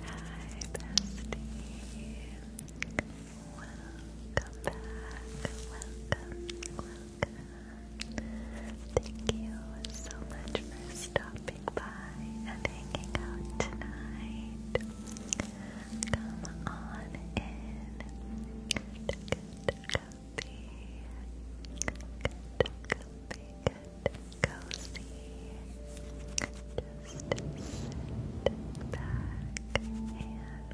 Hi, bestie. Welcome back. Welcome, Thank you so much for stopping by and hanging out tonight. Come on in comfy, comfy, cozy. Just sit back and relax.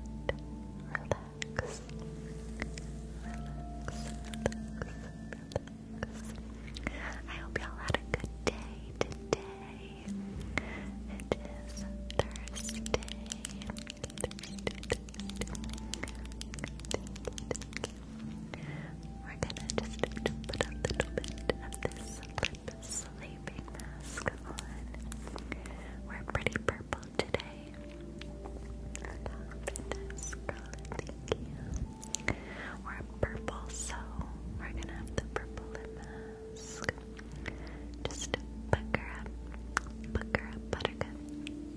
Relax, relax, I hope y'all had a good day today. It is Thursday. We're gonna just put a little bit of this sleeping mask on. We're pretty purple today. Fabulous, girl, thank you. We're purple, so we're gonna have the purple lip mask. Just pucker up, pucker up, buttercup, just Thank you,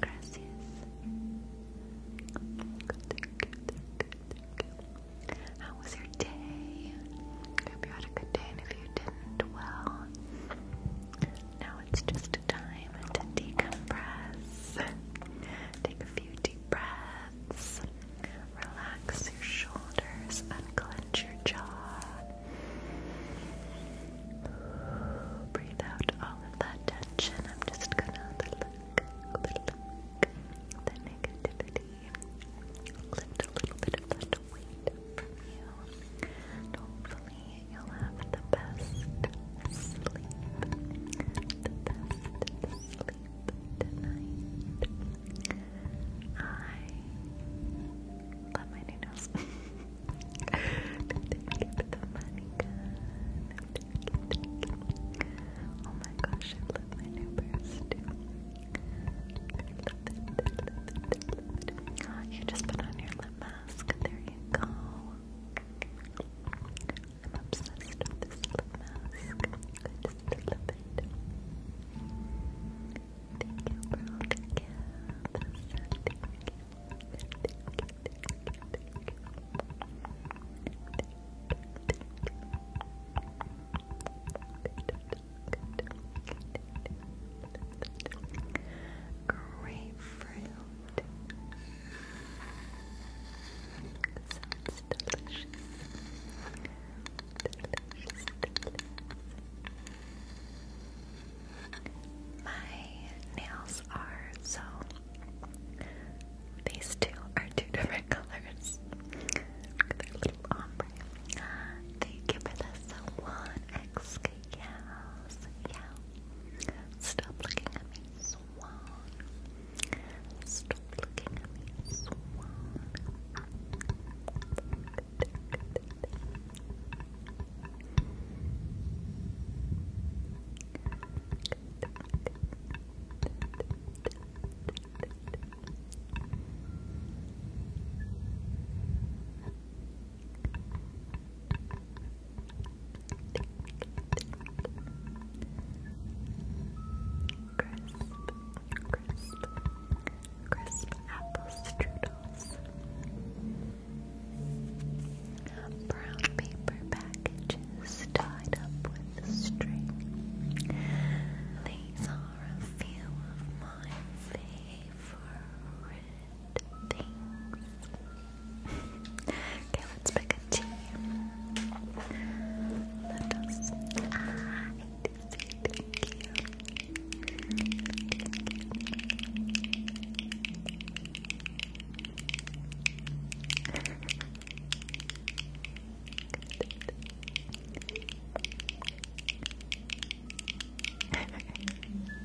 gracias. How was your day? I hope you had a good day, and if you didn't, well, now it's just a time to decompress. Take a few deep breaths. Relax your shoulders, and clench your jaw. Breathe out all of that tension. I'm just gonna look, look the negativity. a little bit of that weight from you you'll have the best sleep. The best sleep tonight. I love my new nails. Oh my gosh, I love my new purse You just put on your lip mask. There you go. I'm obsessed with this lip mask. I just love it. Thank you for all the you. My nails are so. These two are two different colors. Look at little ombre. Thank you for the one XK. Yes, yes. Stop looking at me, swan. Stop looking at me, swan crisp, crisp apple strudels. Brown paper packages tied up with string. These are a few of my favorite okay, let's pick a team. Let us. I need Thank you.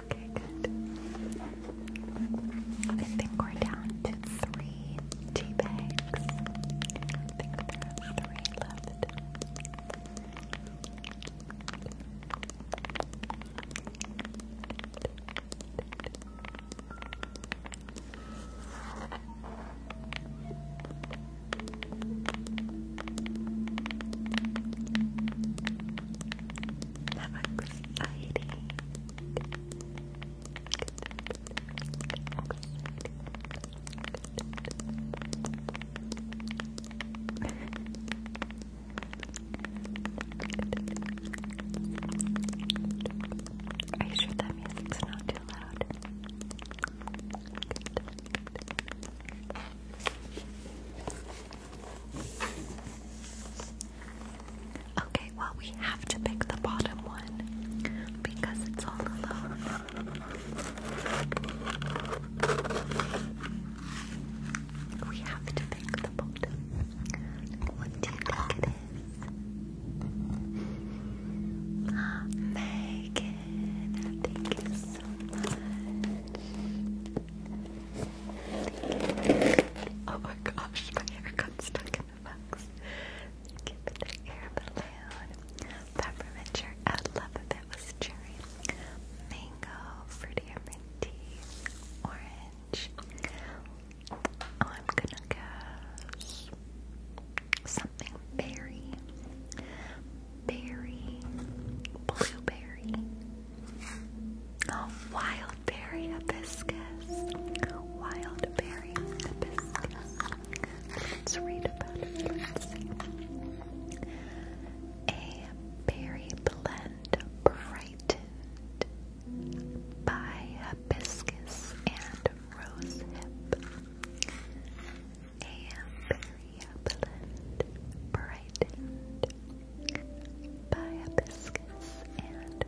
Okay, good. I think we're down to three tea bags. I think there are three left. How exciting! Are you sure that music's not too loud? Okay, well, we have to pick the bottom one because it's all alone. We have to pick the bottom. What do you think it is? Megan, thank you so much. Oh my gosh, my hair got stuck in the box. Thank you the air balloon. I love if it was cherry. Mango, fruity minty, orange. Oh, I'm gonna guess something berry. Berry, blueberry. Oh, wild wild berry hibiscus. Wild berry hibiscus. Let's read about it. A berry blend brightened by hibiscus and rose A berry blend brightened by hibiscus and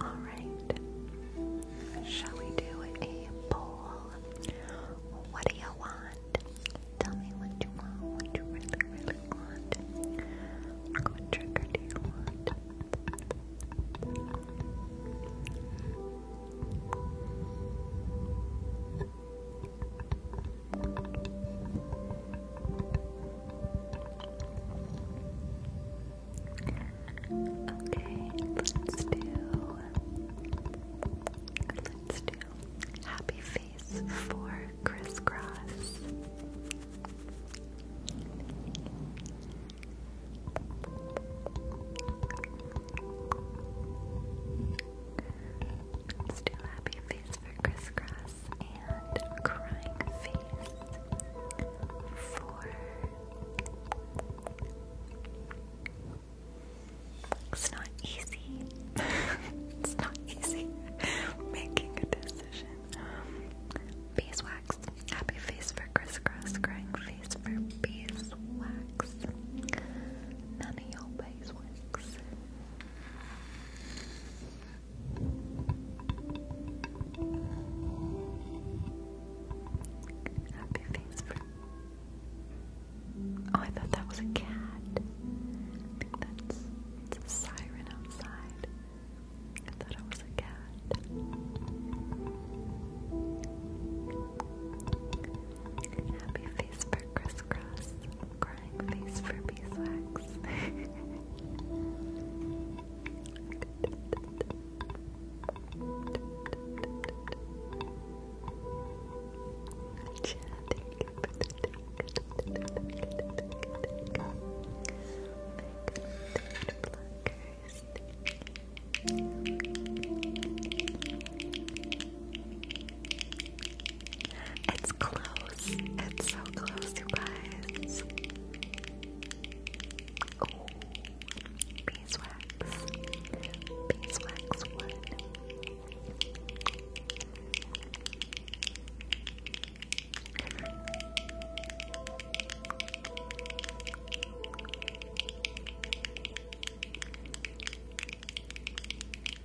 Alright. Shall we do a poll? What do you want? Tell me what you want, what you really, really want. What trigger do you want? Okay, let's do let's do happy face for crisscross. let happy face for crisscross and crying face for it's not easy. it's not easy making a decision. Beeswax. Happy face for crisscross. Crying face for beeswax. None of your beeswax. Happy face Oh, I thought that was a cat. I think that's a siren outside. I thought it was a cat. Happy face crisscross crying face for beeswax. Chad, it's close. It's so close, you guys. Oh, beeswax. Beeswax one.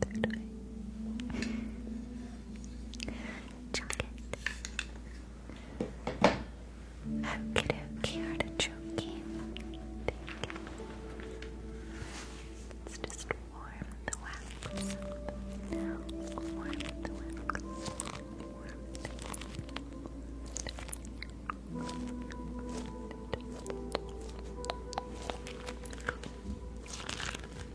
Third eye. Chocolate. Okie dokie, artichoke. Let's just Warm the wax.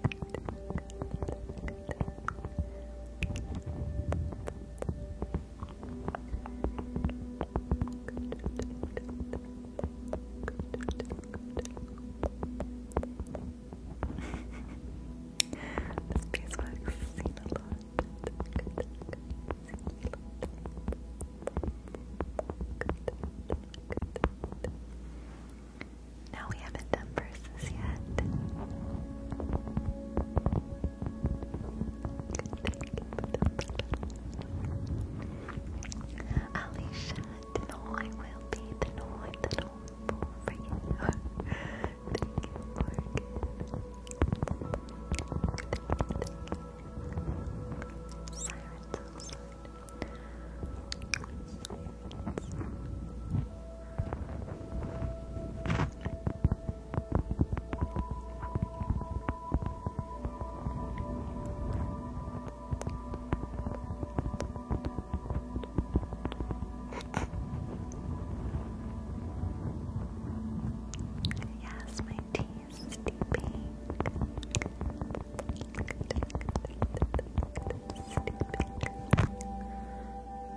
this piece works seen a lot. Seen a lot. Good, good, good. No, we haven't done verses yet. Alicia, the no will be the no the no for you. Thank you, Yes, my tea is steeping.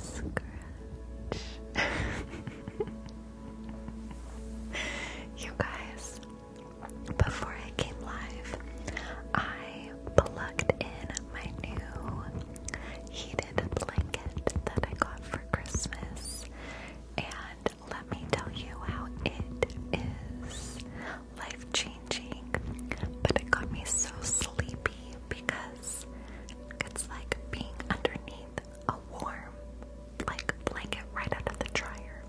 Scratch. you guys, before I came live, I plugged in my new heated blanket that I got for Christmas. And let me tell you how it is life changing. But it got me so sleepy because it's like being underneath a warm, like blanket right out of the dryer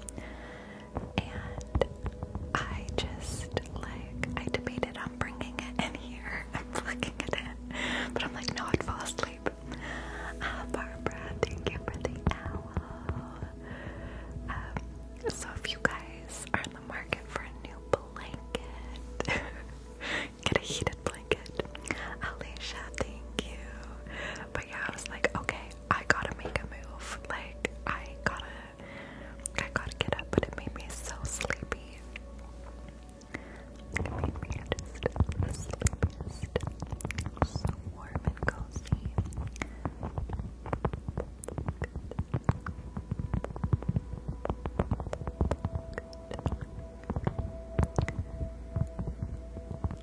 and I just like I debated on bringing it in here and plugging it but I'm like, no, I'd fall asleep. Uh, Barbara, thank you for the owl. Um, so if you guys are in the market for a new blanket, get a heated blanket. Alicia, thank you. But yeah, I was like, okay, I gotta make a move. Like I gotta I gotta get up, but it made me so sleepy. It made me just the So warm and cozy.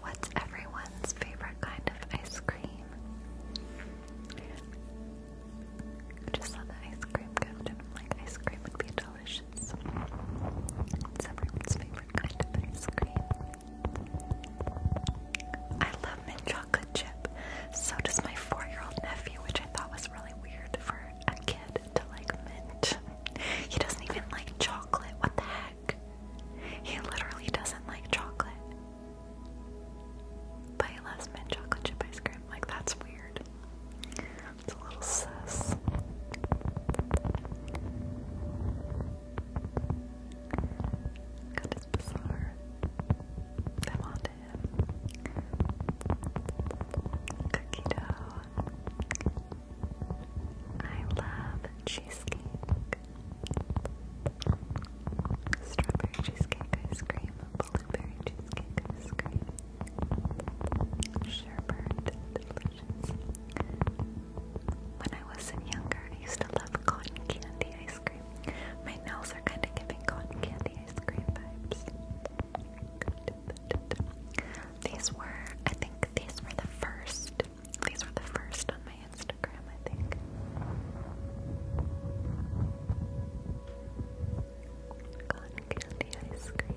What's everyone's favorite kind of ice cream? Just let the ice cream gift and like, ice cream would be delicious. everyone's favorite kind of ice cream. I love mint chocolate chip. So does my four-year-old nephew, which I thought was really weird for a kid to like mint. He doesn't even like chocolate. What the heck? He literally doesn't like chocolate. But he loves chocolate chip ice cream. Like, that's weird. It's a little sus. God, it's bizarre. I want it. Cookie dough. I love cheesecake. Strawberry cheesecake ice cream, blueberry cheesecake ice cream. Sherbet, delicious. When I was younger, I used to love cotton candy ice cream. My nails are kind of giving cotton candy ice cream vibes. These were, I think, these were the first. These were the first on my Instagram, I think. Cotton candy ice cream.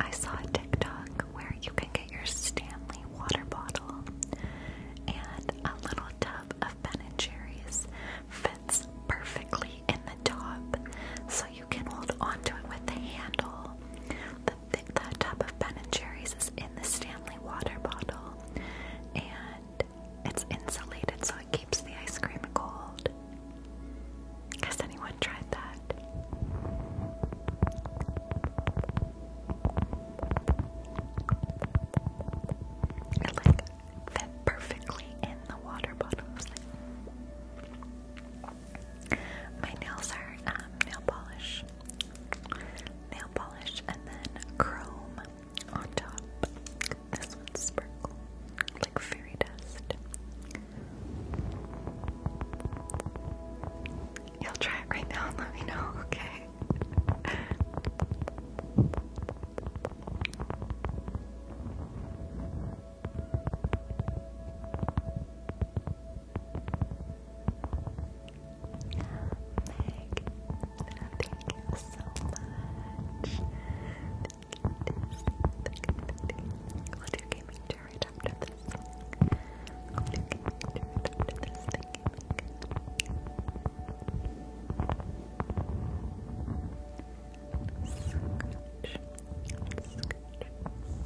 I saw a TikTok where you can get your Stanley water bottle and a little tub of Ben and Jerry's fits perfectly in the top so you can hold onto it with the handle. The, tub of Ben and Jerry's is in the Stanley water bottle and it's insulated so it keeps the ice cream cold. Has anyone tried that? It like fit perfectly in the water bottles. My nails are um, nail polish, nail polish, and then chrome on top. This one's sparkle, like fairy dust. You'll try it right now and let me know, okay? Meg, thank you so much. We'll do gaming chair right after this. We'll do gaming chair right after this. Thank you, Scratch. Scratch. Scratch. Scratch.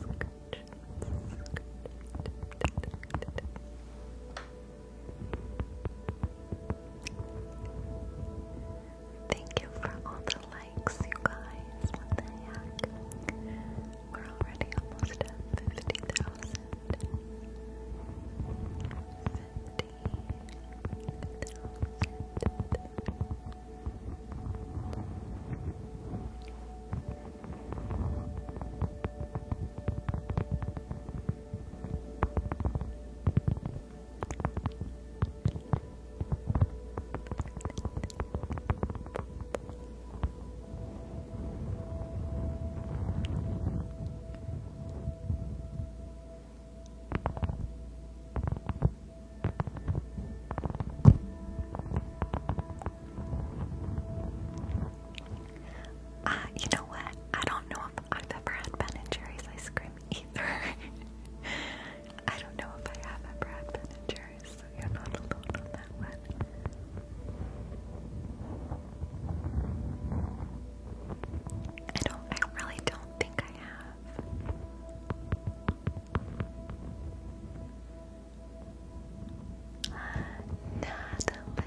Scratch. Thank you for all the likes, you guys. We're already almost at 50,000. Uh, you know what? I don't know if I've ever had Ben and Jerry's ice cream either. I don't know if I have ever had managers, so you're not alone on that one. I don't, I really don't think I have. Natalie,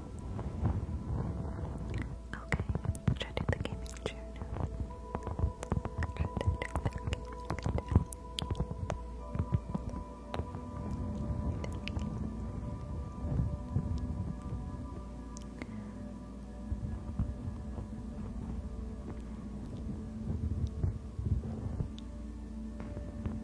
Okay, should I do the gaming chair now?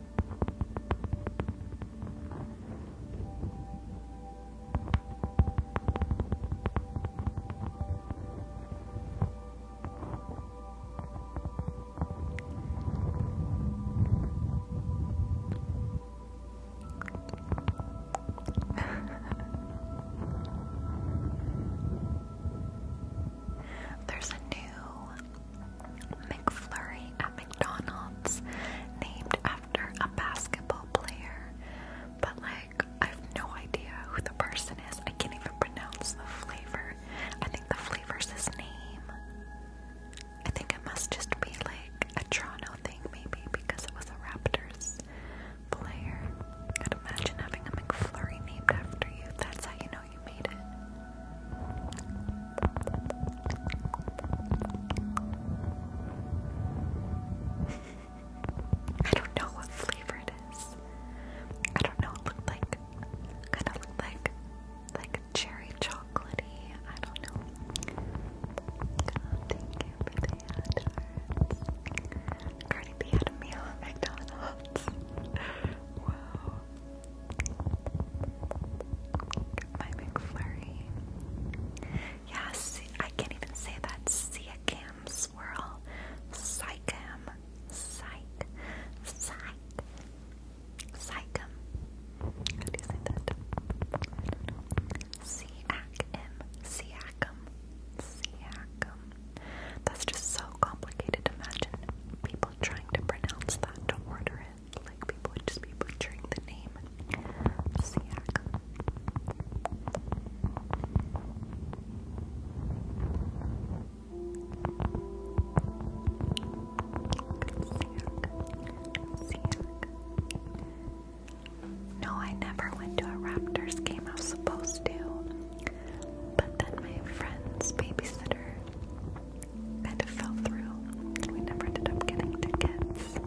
There's a new McFlurry at McDonald's named after a basketball player, but like I have no idea who the person is. I can't even pronounce the flavor. I think the flavor's his name. I think it must just be like a Toronto thing, maybe, because it was a Raptors player. i imagine having a McFlurry named after you. That's how you know you made it. I don't know what flavor it is. I don't know. It looked like kind of looked like like cherry chocolatey. I don't know. God, thank you for the ad Cardi B had a meal at McDonald's. wow. My McFlurry. Yeah, I can't even say that. Siakam swirl. Psycham. Psych. Psych. Psycham. How do you say that? Siakam. Siakam. Siakam. That's just so complicated. Imagine people trying to pronounce that to order it like people would just be butchering the name Siak. No, I never went to a Raptors game. I was supposed to, but then my friend's babysitter kind of fell through we never ended up getting tickets.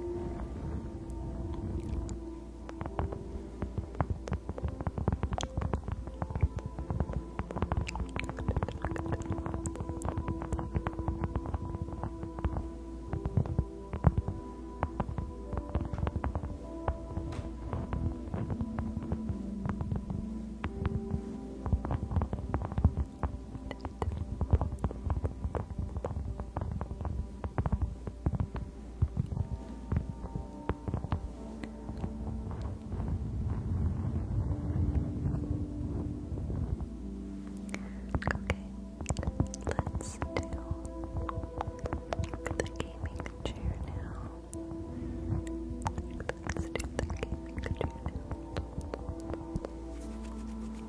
Okay, let's do the gaming chair now. Let's do the gaming chair now.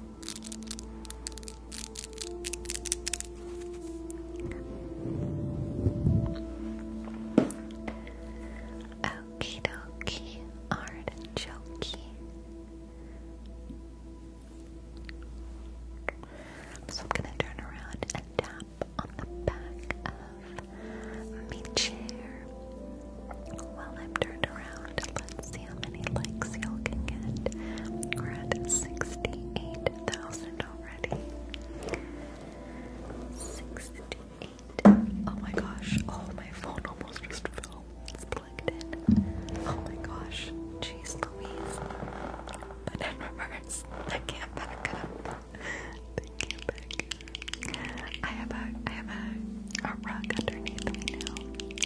Okie dokie, artichoke. So I'm gonna turn around and tap on the back of my chair. While I'm turned around, let's how many likes you will get. We're at 68,000 already. 68. Oh my gosh. Oh, my phone almost just fell. It's plugged in. Oh my gosh. Jeez Louise. But in reverse, I can't back up. I have a, I have a, a rug underneath me now.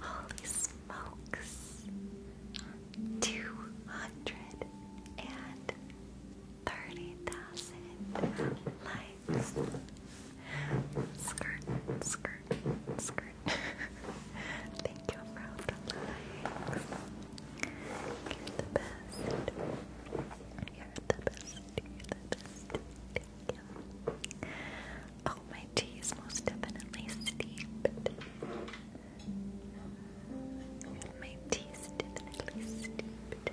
Holy smokes! Two hundred and thirty thousand likes. Skirt, skirt, skirt. Thank you for all the likes. You're the best. You're the best. You're the best. Thank you. Oh, my tea is most definitely steeped. My tea is definitely steeped.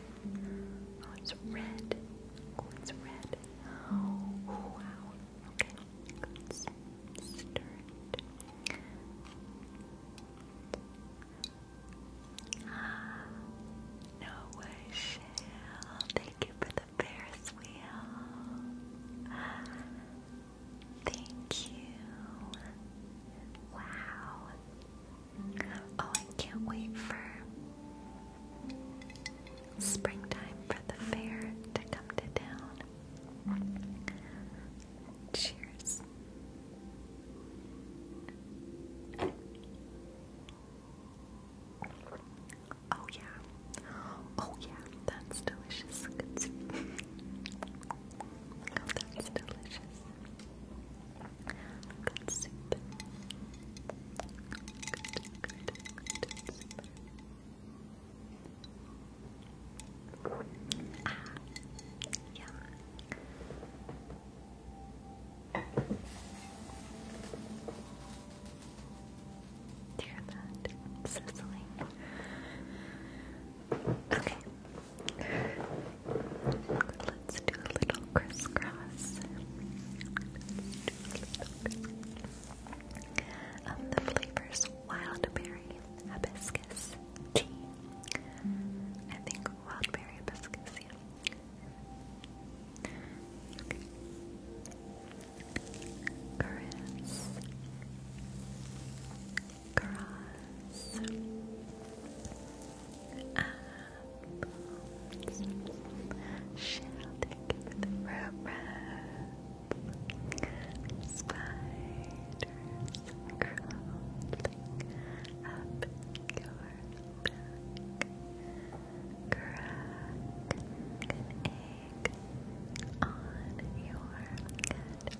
Oh, it's red. Oh, it's red. wow. Okay, let's stir it. Ah, thank you for the Ferris wheel. Thank you. Wow. Oh, I can't wait for springtime for the fair to come to town. Cheers. Oh, yeah. Oh, yeah. That's delicious. Good soup. Good, good, good soup. Ah, yum. Hear that sizzling? Okay. Let's do a little crisscross. Um, the flavors wild berry, hibiscus, tea. I think wild berry, hibiscus, yeah. Okay cross apples shall take the rub spiders crawling up your back crack an egg on your head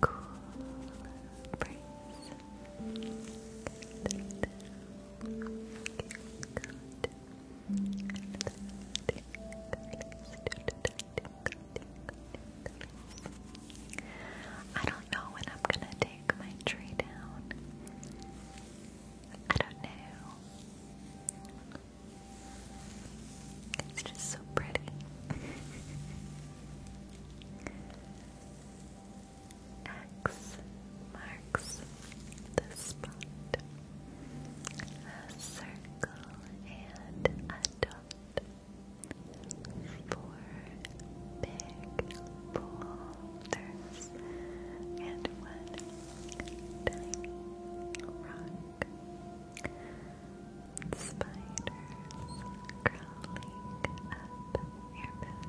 cool breeze I don't know when I'm gonna take my tree down. I don't know. It's just so pretty. X marks the spot. A circle and a dot. Four big boulders and one tiny rock spiders crawling up your back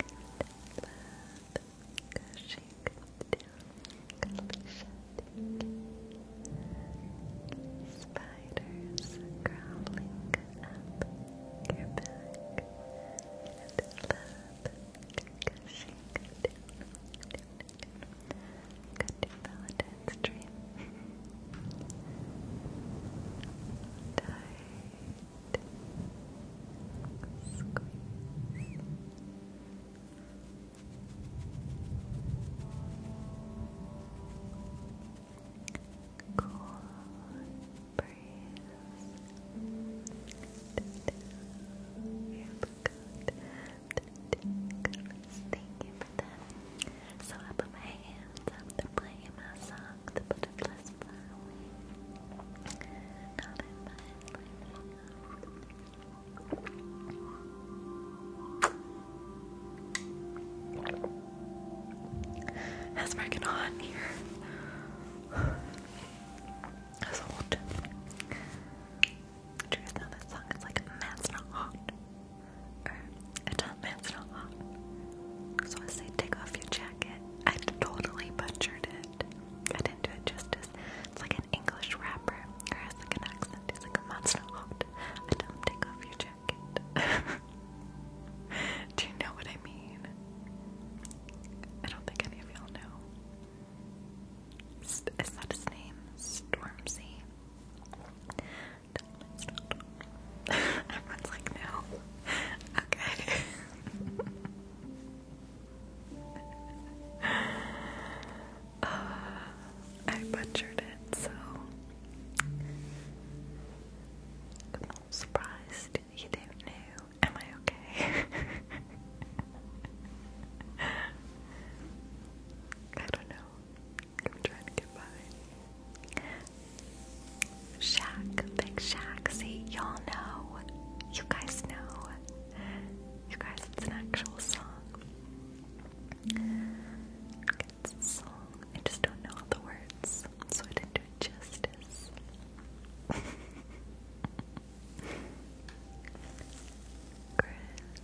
and blood gushing down Spiders crawling up your back and blood down Good Valentine's dream. Tight. Squeeze. Cool breeze. You look good. Thank you So I put my hands up, they're my song, The Butterflies Fly Away. Not in freaking hot here. That's old. Do you know that song? It's like man's not hot. Or a man's not hot. So I say take off your jacket. I totally butchered it. I didn't do it justice. It's like an English rapper or has like an accent. He's like a not hot. I don't take off your jacket. do you know what I mean? I don't think any of y'all know. Is that his name? Stormzy? Everyone's like, no. Okay. Uh, I butchered it, so I'm not surprised you don't know. Am I okay? I don't know. I'm trying to get by. Shaq, big Shaq. See, y'all know. You guys know. You guys, it's an actual song. It's a song. I just don't know all the words, so I didn't do it justice. Chris,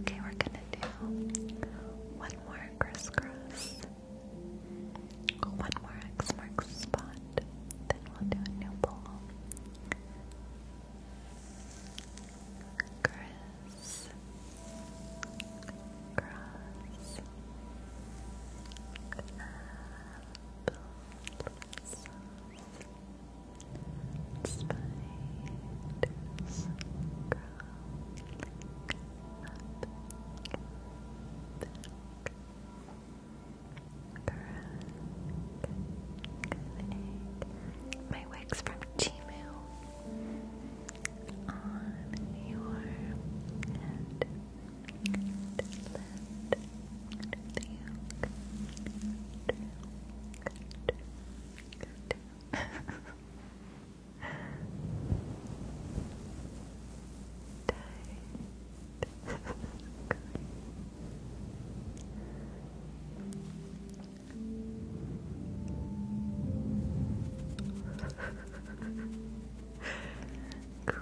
Okay, we're gonna do one more crisscross. One more X marks spot, then we'll do a new poll. Chris, cross, apple, spiders, crawling, my wig's from Chimu on your head Tight. cool Good. Good.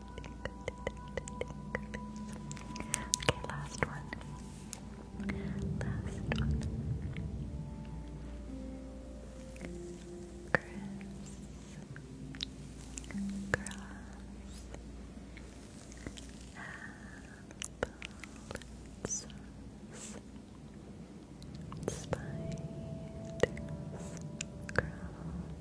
Okay, last one. Last one. Chris. Cross. Apples. Spiders. Cross.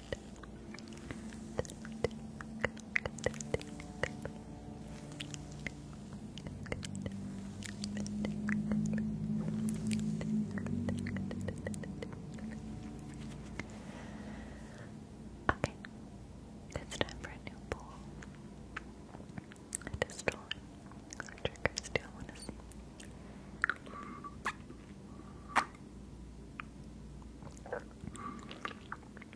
Okay, it's time for a new poll. I just drawn triggers want to see. Okay,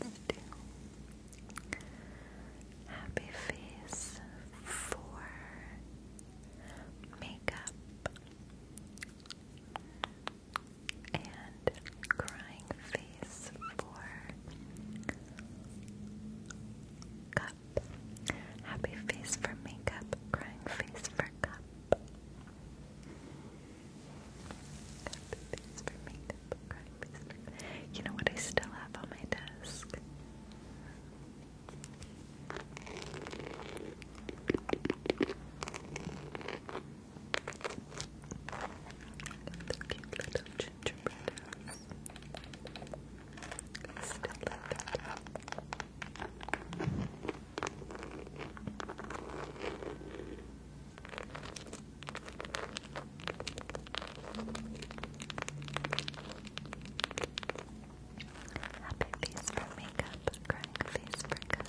let's do happy face for makeup and crying face for cup. Happy face for makeup, crying face for cup. Happy face for makeup, crying face You know what I still have on my desk? The cute little gingerbread house. Still love it. Happy face for makeup, crying face for cup.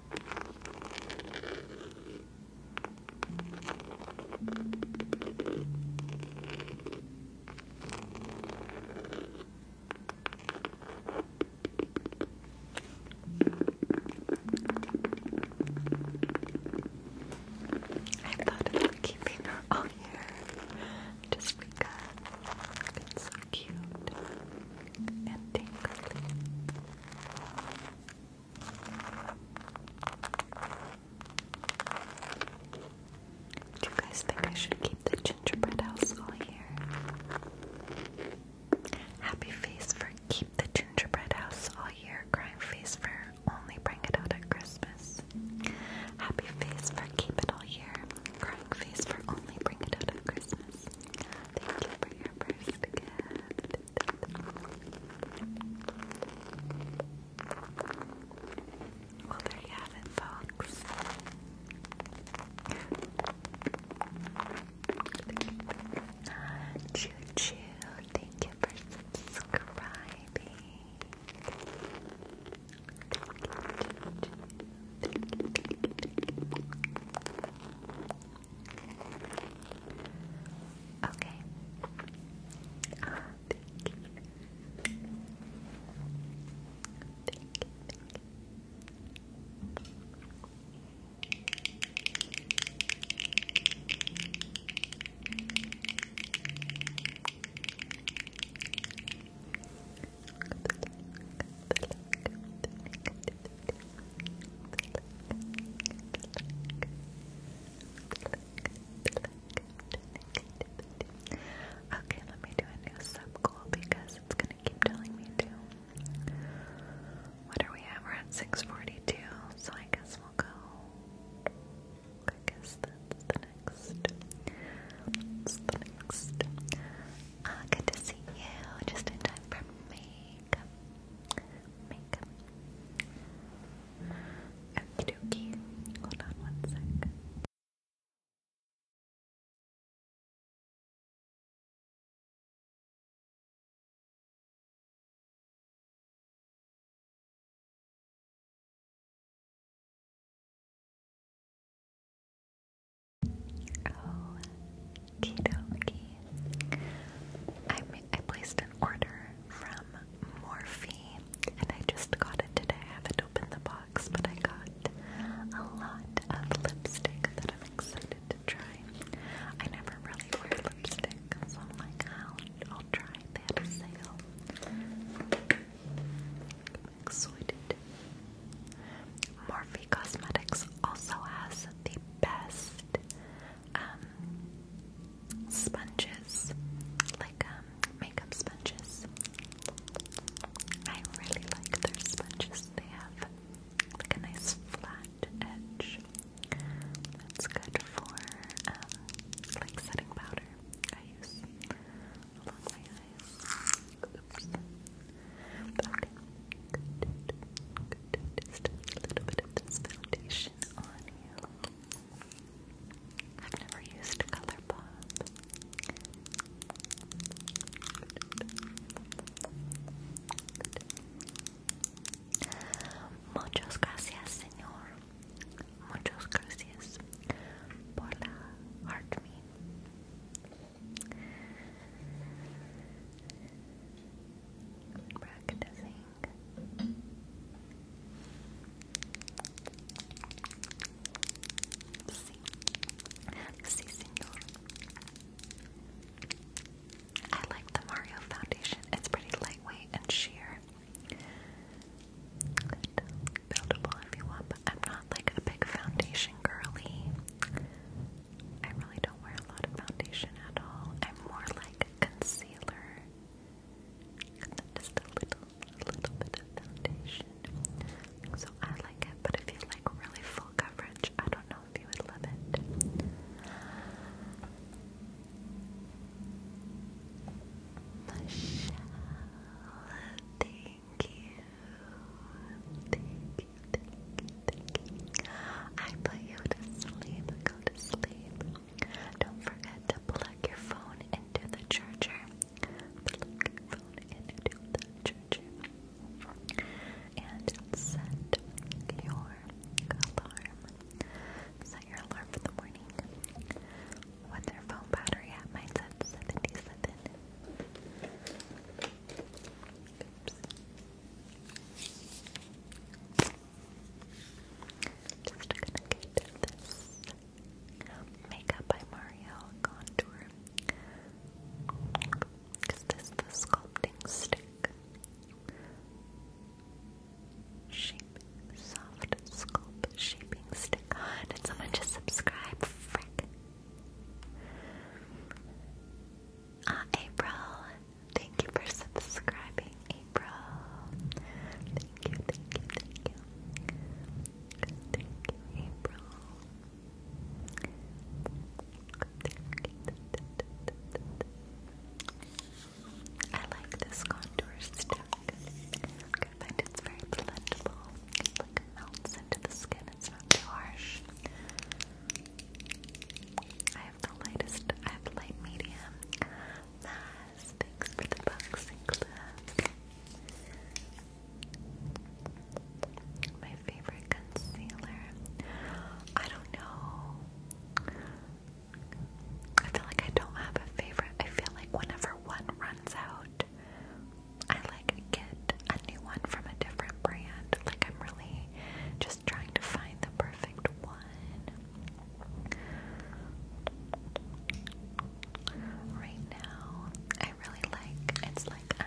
I thought of keeping her on here just because it's cute and tingly. Do you guys think I should keep the gingerbread house all year? Happy face for keep the gingerbread house all year. Crying face for only bring it out at Christmas. Happy face for keep it all year. Crying face for only bring it out at Christmas. Thank you for your first gift. Well, there you have it, folks. Choo thank you for subscribing. Okay. Ah, thank you. Thank you, thank you. Look at Okay, let me do a new sub goal because it's gonna keep telling me to. What are we at? We're at 642, so I guess we'll go. I guess that's the next. That's the next. Ah, oh, good to see you. Just in time for makeup. Makeup. Okie dokie. Hold on one sec. Oh, Kidoki. I placed an order from Morphe, and I just got it today. I haven't opened the box, but I got a lot of lipstick that I'm excited to try. I never really wear lipstick, so I'm like, I'll, I'll try. They had a sale. I'm excited. Morphe Cosmetics also has the best um, sponges, like um, makeup sponges. I really like their sponges. They have like a nice flat edge. That's good for um, like setting powder. I use along my eyes. Oops. But a little bit of this foundation on you. I've never used Color Pop. Muchas gracias, señor. Muchas gracias por la heart me. Practicing. Sí. Sí, señor. I like the Mario foundation. It's pretty lightweight and sheer. Buildable if you want, but I'm not like a big foundation girly. I really don't wear a lot of foundation at all. I'm more like a concealer. Just a little, little bit of foundation. So I like it, but if you like really full coverage, I don't know if you would love it. Michelle, thank you. Thank you you. I put you to sleep. Go to sleep. Don't forget to plug your phone into the charger. Plug your phone into the charger. And set your alarm. Set your alarm for the morning. What's your phone battery at? Mine's at 77. Just gonna get this makeup by Mario contour. Is this the sculpting stick? Shape soft sculpt shaping stick. did someone just subscribe? Frick. Ah, April. Thank you for subscribing, April. Thank you, thank you, thank you. Thank you, April. I like this contour stick. I find it's very blendable. It like melts into the skin. It's not too harsh the lightest, I have light medium. Nice, thanks for the boxing club. My favorite concealer. I don't know. I feel like I don't have a favorite. I feel like whenever one runs out, I like get a new one from a different brand. Like I'm really just trying to find the perfect one. Right now, I really like it's like um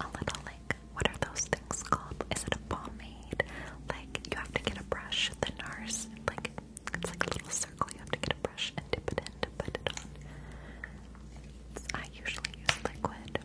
a little like what are those things called? Is it a pomade? Like you have to get a brush, the NARS, like it's like a little circle, you have to get a brush and dip it in put it on. I usually use liquid.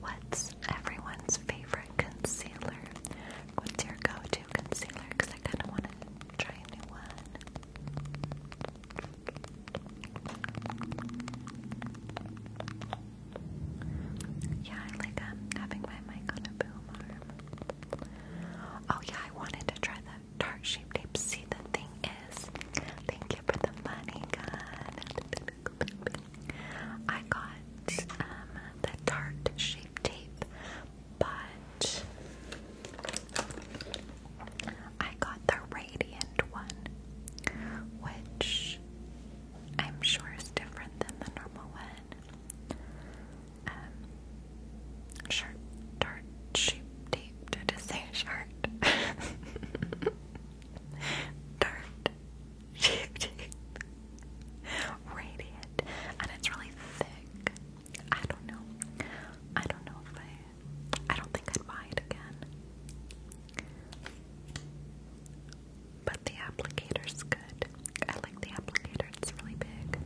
What's everyone's favorite concealer? What's your go to concealer? Because I kind of want to try a new one. Yeah, I like um, having my mic on a boom arm. Oh yeah, I wanted to try the tart shape tape. See, the thing is, thank you for the money, God. I got um, the tart shape tape, but I got the radiant one, which I'm sure is different than the normal one. Um, sharp, dart, deep. Did I say sharp? dart, sheep, deep. Radiant, and it's really thick. I don't know. I don't know if I. I don't think I'd buy it again. But the applicator's good. I like the applicator, it's really big.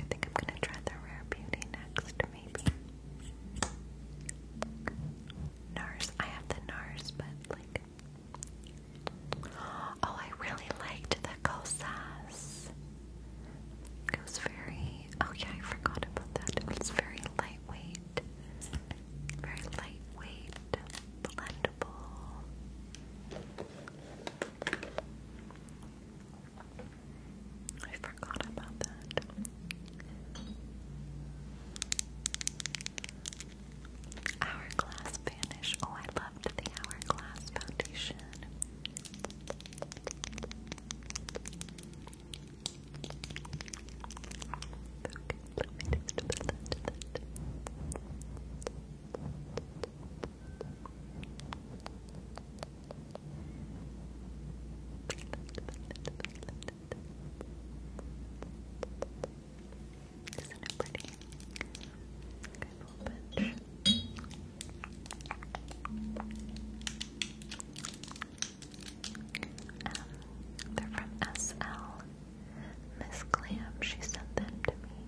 I think I'm gonna try the Rare Beauty next, maybe. NARS. I have the NARS, but like. Oh, I really liked the Kosas. It was very. Oh, yeah, I forgot about that. It was very lightweight very lightweight, blendable. I forgot about that. Hourglass Vanish. Oh, I love the Hourglass Foundation. Isn't it pretty? Okay, a little bit. Um, they're from SL. Miss Clam, she sent them to me.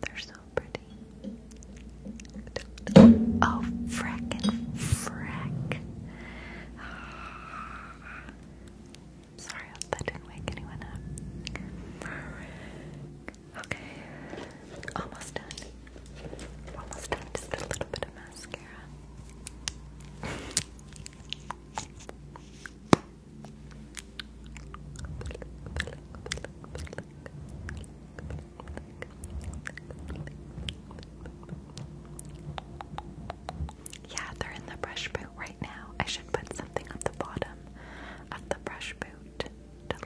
They're so pretty. Oh, frickin' frick. Sorry, I didn't wake anyone up. Okay, almost done. Almost done, just a little bit of mascara. Yeah, they're in the brush boot right now. I should put something at the bottom of the brush boot to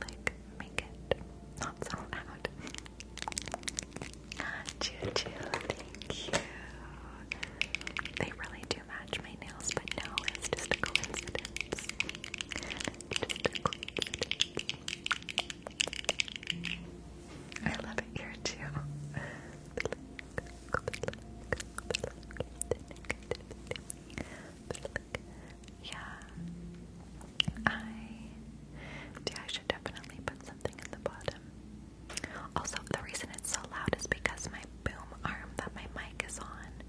like make it not so loud. Choo choo, thank you. They really do match my nails, but no, it's Just a coincidence. I love it here too. Yeah. I yeah, I should definitely put something in the bottom. Also, the reason it's so loud is because my boom arm that my mic is on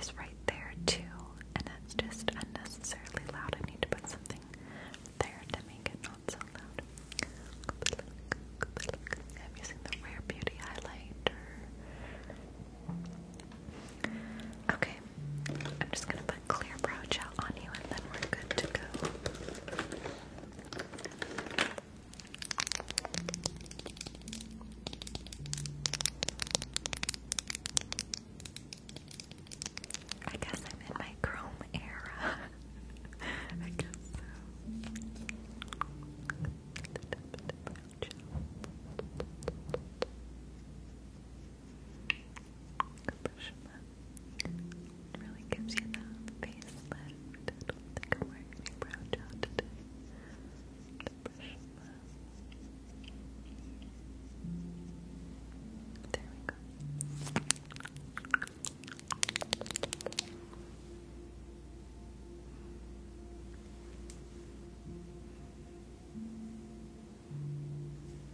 is right there too, and that's just unnecessarily loud. I need to put something there to make it not so loud. I'm using the Rare Beauty highlighter. Okay, I'm just gonna put clear brow gel on you and then we're good to go. I guess I'm in my chrome era. I guess so. Hiroshima really gives you that facelift. I think i wearing any brow gel today. There we go.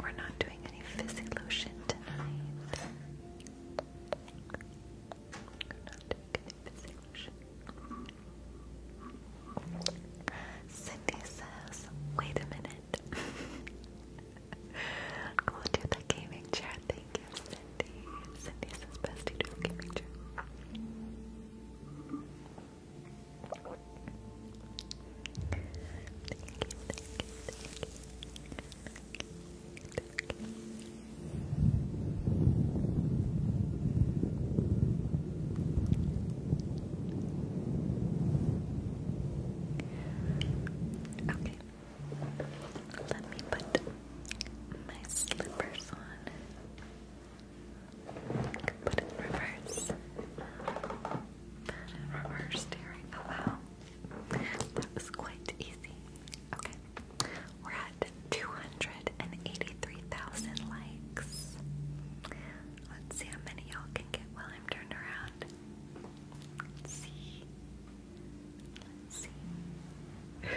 We're not doing any fizzy lotion tonight. we fizzy lotion. Cindy says, wait a minute. we'll the gaming chair. Thank you, Cindy. Cindy says, best to the gaming chair. Okay, let me put my slippers on. Put it reverse. Put it reverse, staring. Oh wow. That was quite easy. Okay. We're at 283,000 likes. Let's see how many y'all can get while I'm turned around. Let's see. Let's see.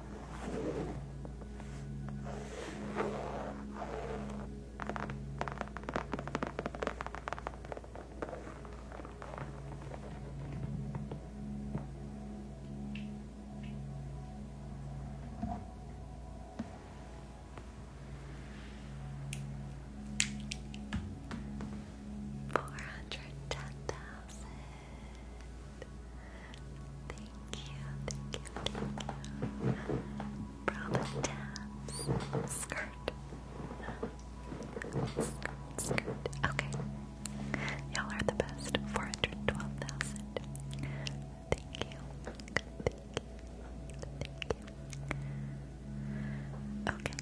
Four hundred ten thousand. Thank you, thank you, thank you. Skirt. Skirt, skirt. Okay. Y'all are the best. 412,000. Thank you. Thank you. Thank you.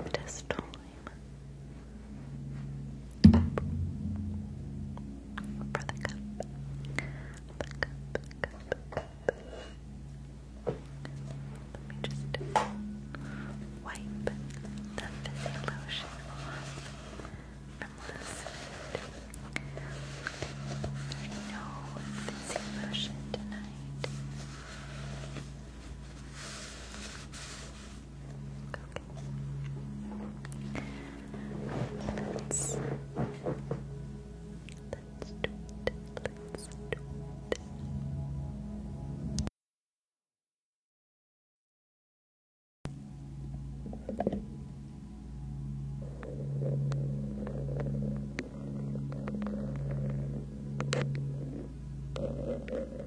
Okay. Just one time. For Let me just wipe the fizzy lotion from last night. No fizzy lotion tonight. Okay. Let's, let's do it. Let's do it.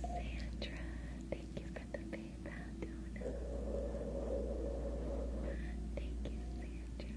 Sandra, thank you for the PayPal donut. Thank you, Sandra.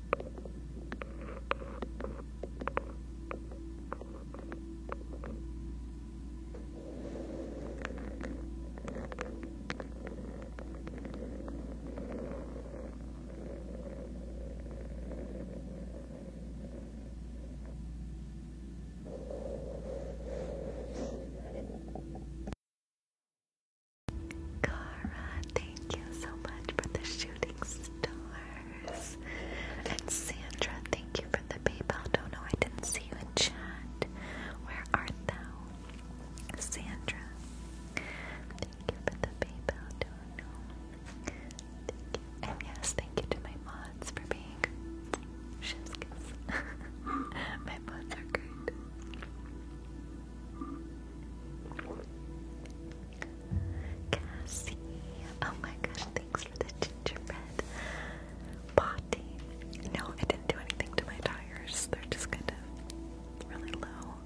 Cara, thank you so much for the shooting star. And Sandra, thank you for the PayPal. Don't know I didn't see you in chat. Where art thou? Sandra. Thank you for the PayPal. Don't know. And yes, thank you to my mods for being chef's kiss. my mods are great. Cassie. Oh my gosh, thanks for the gingerbread potty. No, I didn't do anything to my tires. They're just kind of really low.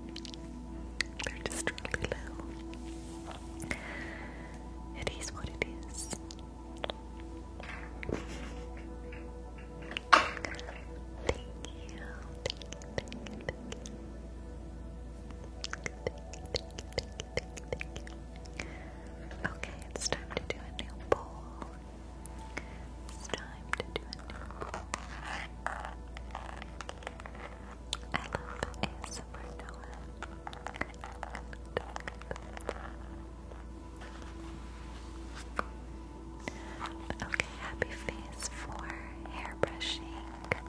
They're just really low. It is what it is. thank you, Okay, it's time to do a new bowl. It's time to do a new bowl. I love ASMR Noah. Okay, happy face for hair brushing.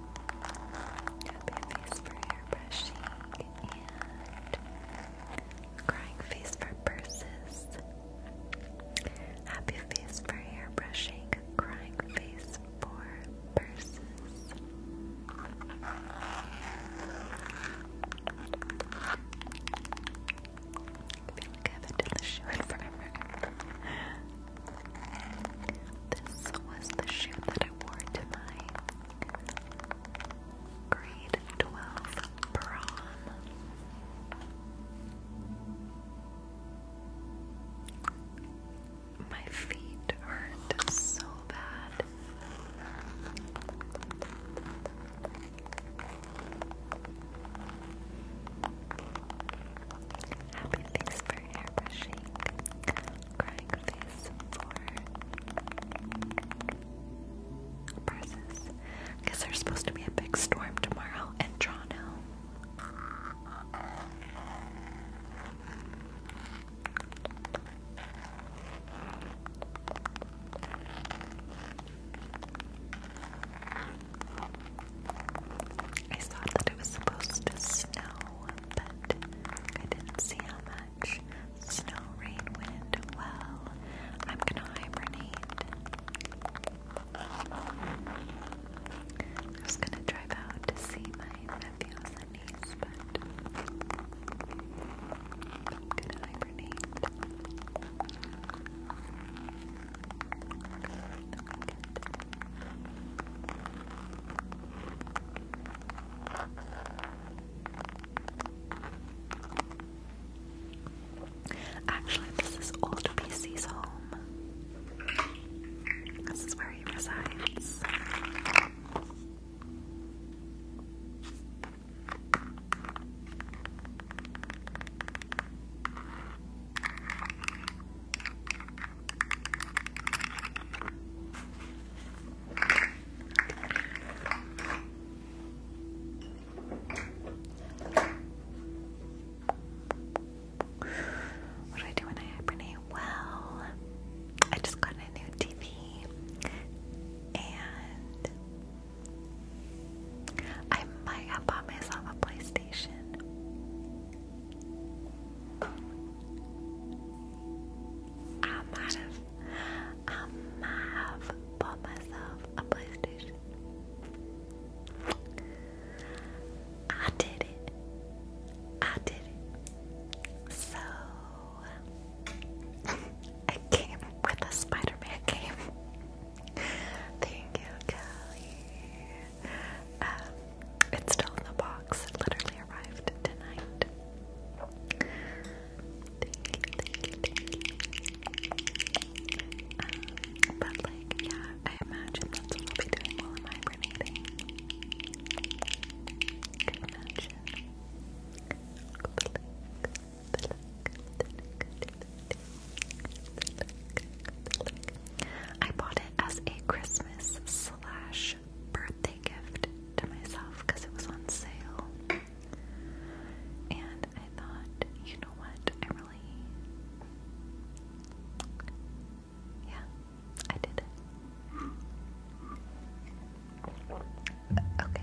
Happy face for hair brushing and crying face for purses. Happy face for hair brushing, crying face for purses. I feel like I haven't done this show in this was the shoe that I wore to my grade 12 prom. My feet hurt so bad. Happy thanks airbrushing crying face for purses. Because there's supposed to be a big storm tomorrow in Toronto. I thought that it was supposed to snow but I didn't see how much. Snow, rain, wind, well, I'm gonna hibernate. I was gonna drive out to see my nephews and niece, but I'm gonna hibernate. Actually, this is old PC's home. This is where he resides. What do I do when I hibernate? Well, I just got a new TV and I might have myself a PlayStation. I might have, I might have bought myself a PlayStation. I did it. I did it. So, a game with a Spider Man game. Thank you, Kelly it's still in the box. It literally arrived tonight. Um, but like, yeah, I imagine that's what we be doing while I'm hibernating. I bought it as a Christmas slash birthday gift to myself because it was on sale. And I thought, you know what? I Yeah, I did Okay.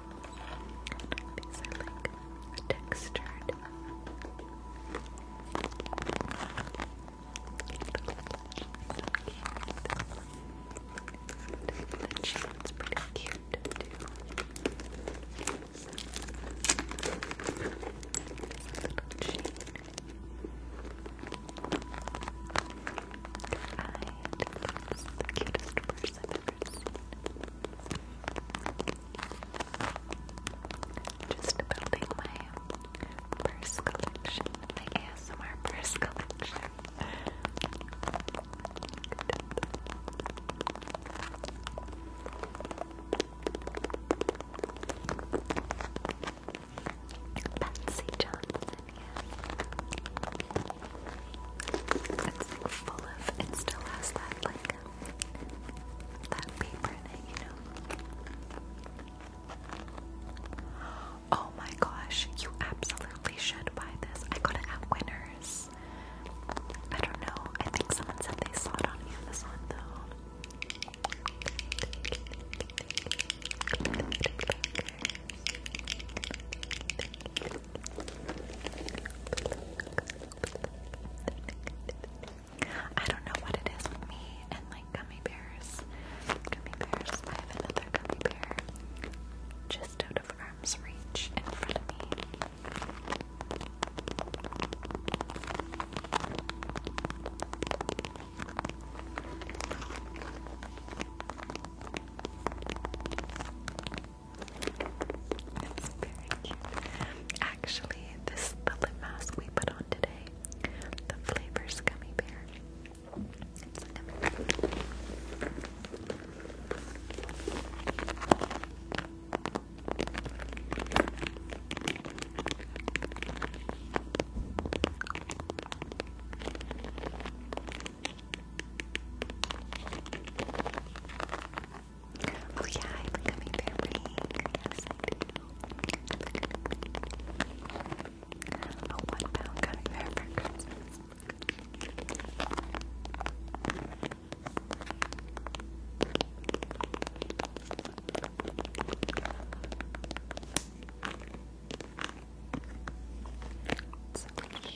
These are like textured. The chain's pretty cute too. Little chain. I think the cutest pictures i Just building my purse collection, my ASMR purse collection. Patsy Johnson. It's full of, it still has that like, that paper in it, you know? Oh my gosh, you absolutely should buy this. I got it at Winners. I don't know, I think someone said they saw it on Amazon though. I don't know what it is with me and like gummy bears. Gummy bears. I have another gummy bear just out of arm's reach in front of me. It's very Actually, this the lip mask we put on today. The flavors gummy bear. Oh yeah, I'm becoming their ring. A one pound gummy bear for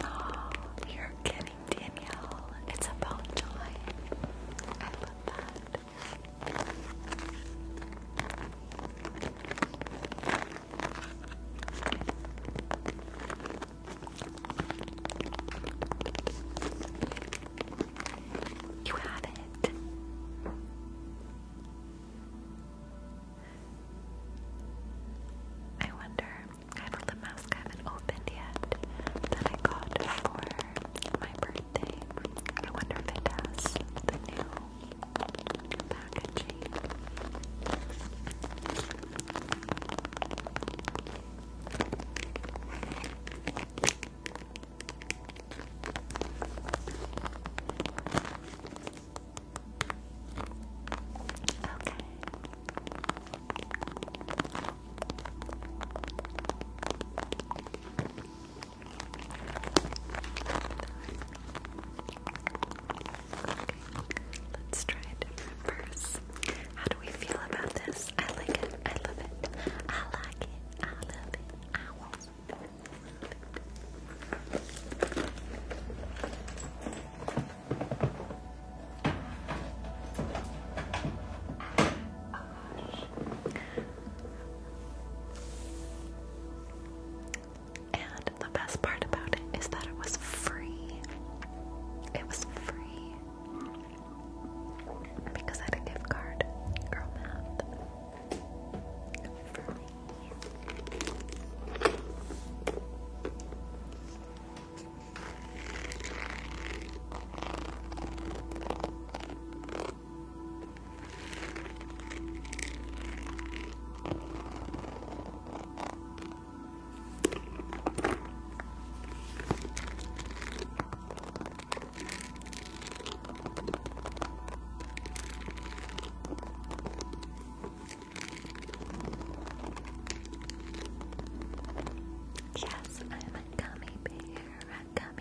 Oh, you're kidding, Danielle. It's about time. I love that. You have it. I wonder, I have a mask I haven't opened yet that I got for my birthday. I wonder if it has the new packaging. Okay. Let's try it in How do we feel about this? I like it. I love it. I like it. I love it. I want oh, and the best part about it is that it was free. It was free. Because I had a gift card. Girl math. Yes, I'm a gummy bear,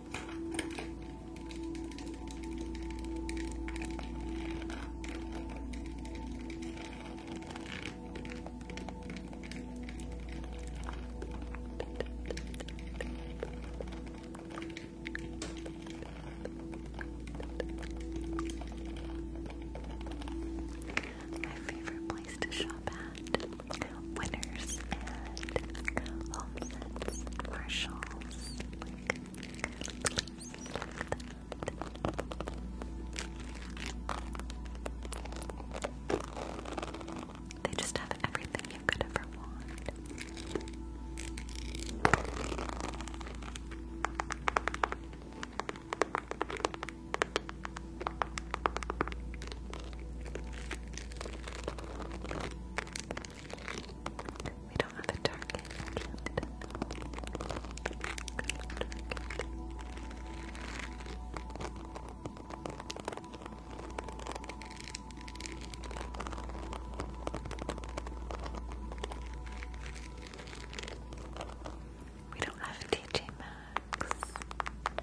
My favorite place to shop at winners and home sets, They just have everything you could ever want. We don't have a target. we don't have DJ Maxx.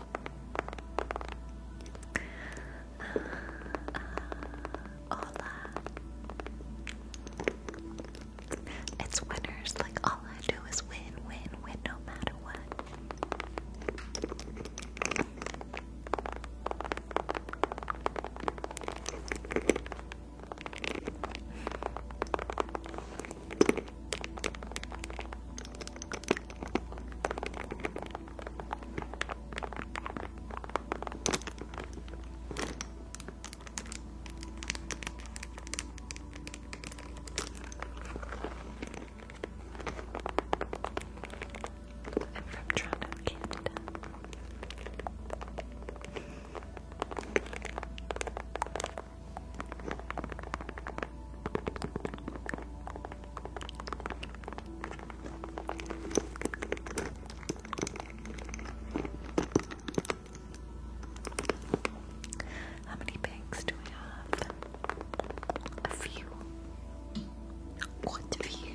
Uh, uh, hola. It's winners, like all I do is win, win, win no matter what. I'm from Toronto, Canada. How many banks do I have? A few. Quite few.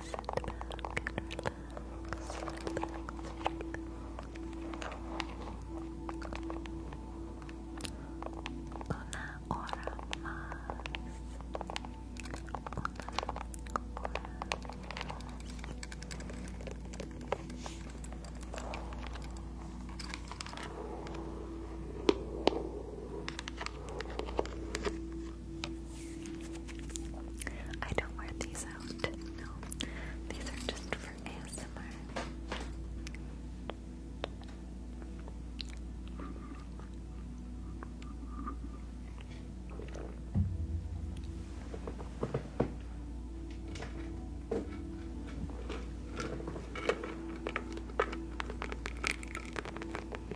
Una hora más. Una hora más. I don't wear these out. No, these are just for ASMR.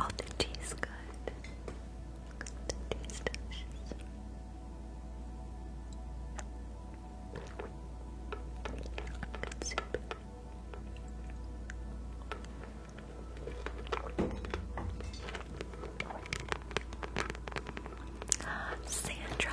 Oh, the taste good. The tea's delicious. Sandra,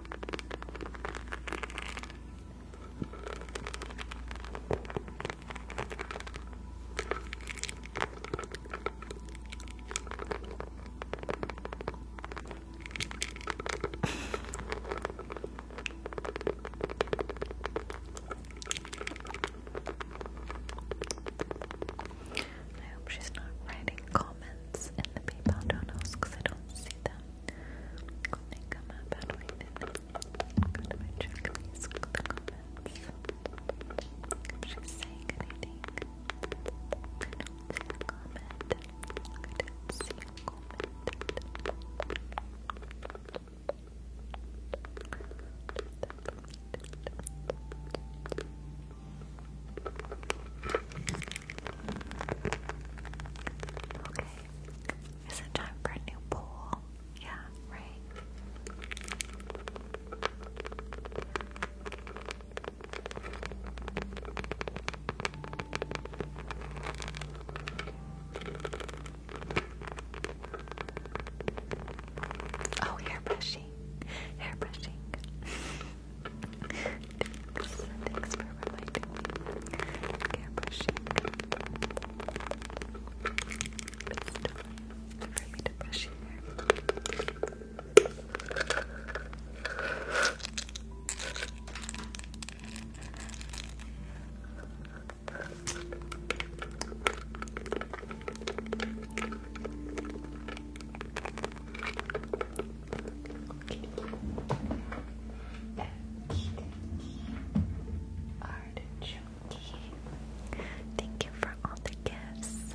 I hope she's not writing comments in the PayPal donos because I don't see them. I think I'm not battling it. Go she's saying anything, I don't comment. see comment. Okay. Is it time for a new poll? Yeah, right. Oh, hair brushing. Hair brushing. Thanks, thanks for reminding me. Airbrushing. It's time for me to brush your hair. Thank Thank you for all the gifts.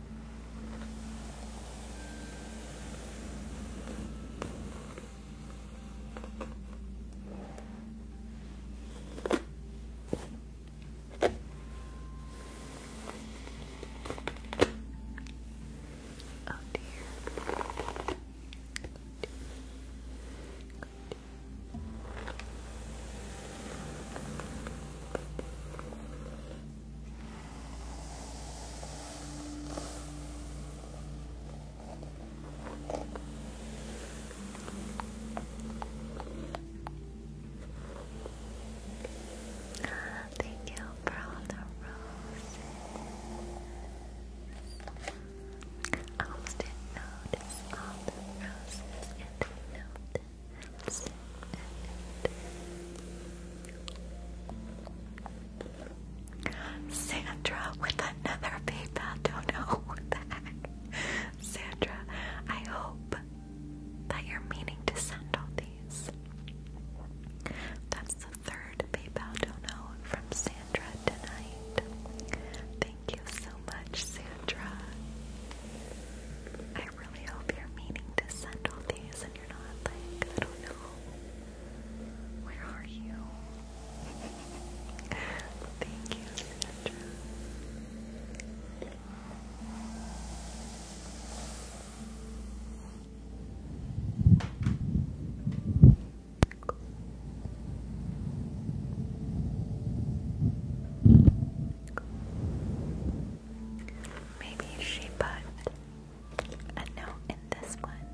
Oh dear. Oh dear. Oh dear. Thank you for the roses. I almost didn't all the roses and notice it. Sandra with another PayPal. Don't know Sandra, I hope that you're meaning to send all these. That's the third PayPal Don't know from Sandra tonight. Thank you so much, Sandra. I really hope you're meaning to send all these I don't know. Where are you? Thank you, Maybe she put a note in this one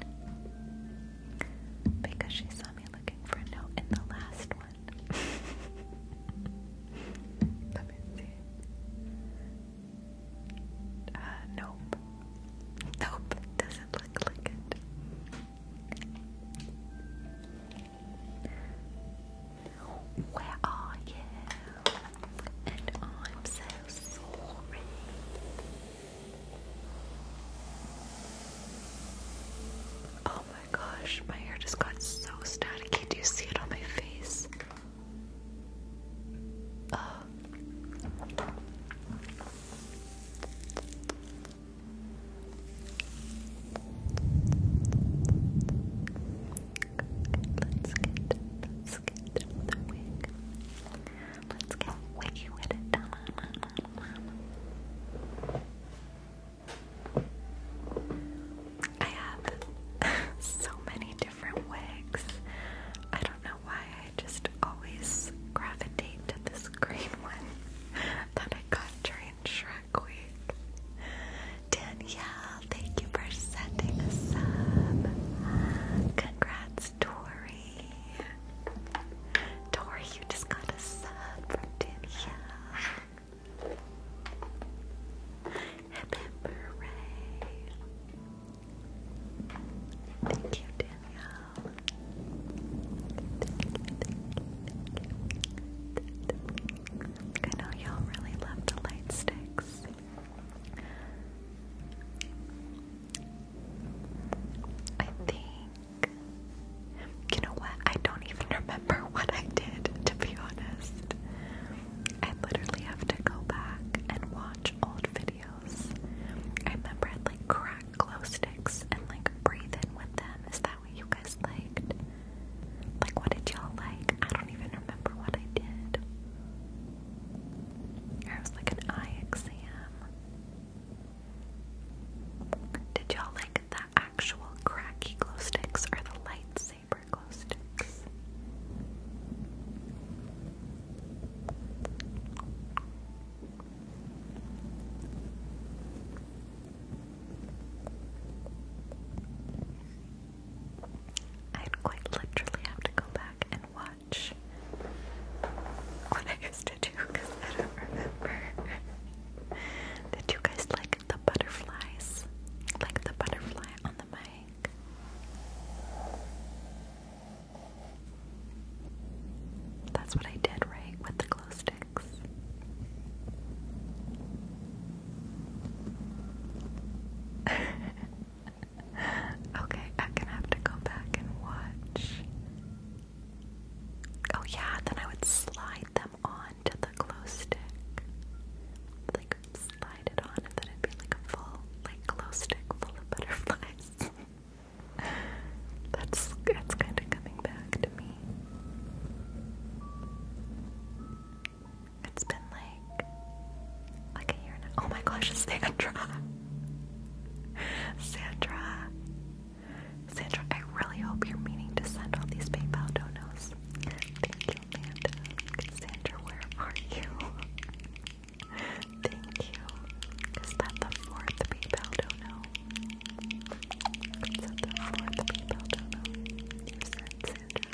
because she saw me looking for a note in the last one. Let me see. Uh, nope. Nope. Doesn't look like it. Where are you? and I'm so sorry. Oh my gosh, my hair just got so staticky. Do you see it on my face? let's get let Let's get the wig. Let's get wiggy with I have so many different wigs. I don't know why I just always gravitate to this green one that I got during Shrek Week. Danielle, thank you for sending a sub. Congrats, you just got a sub from Danielle. Hip hip Thank you, Danielle. I know y'all really love the light sticks. I think. You know what? I don't even remember what I did, to be honest. I literally have to go back and watch old videos. I remember like crack glow sticks and like breathe in with them. Is that what you guys liked? Like, what did y'all like? I don't even remember what I did. Or it was like an eye exam. Did y'all like the actual cracky glow sticks or the lightsaber glow sticks? I'd quite literally have to go back and watch what I used to do I don't remember. Did you guys like the butterflies? Like the butterfly on the mic? That's what I did, right? With the glow sticks. okay, I'm gonna have to go back and watch. Oh, yeah, then I would slide them onto the glow stick. Like, slide it on, and then it'd be like a full, like, glow stick full of butterflies. that's that's kind of coming back to me. It's been like oh my gosh, Sandra. Sandra. Sandra, I really hope you're meaning to send all these PayPal donos. Thank you, Amanda. Sandra, where are you? Thank you. Is that the fourth PayPal dono? Is that the fourth PayPal dono? You sent Sandra.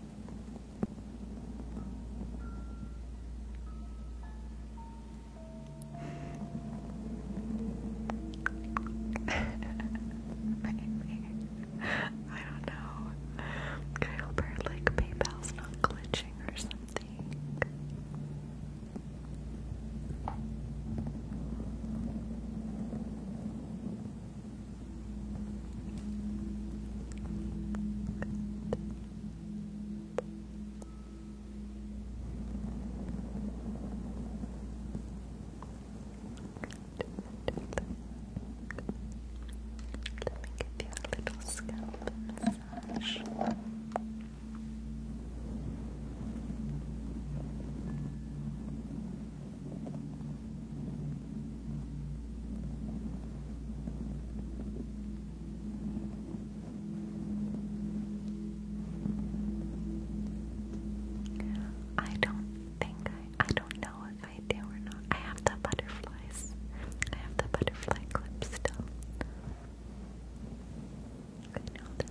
Maybe. I don't know. Can I hope her like PayPal's not glitching or something? give you a little scalp massage. I don't think I I don't know if I do or not. I have the butterflies. I have the butterfly clip still. I know that.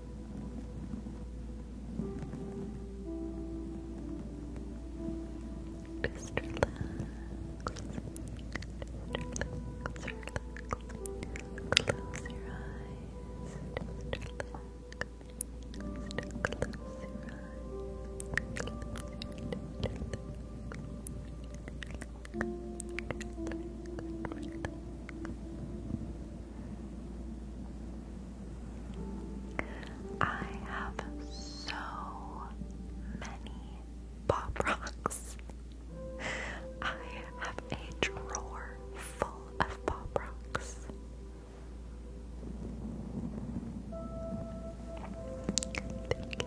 Just relax. Just relax, relax. Close your eyes. Just relax. Just close your eyes. Close your eyes. Relax, relax, relax. I have so many pop rocks. I have a drawer full of pop rocks. Thank you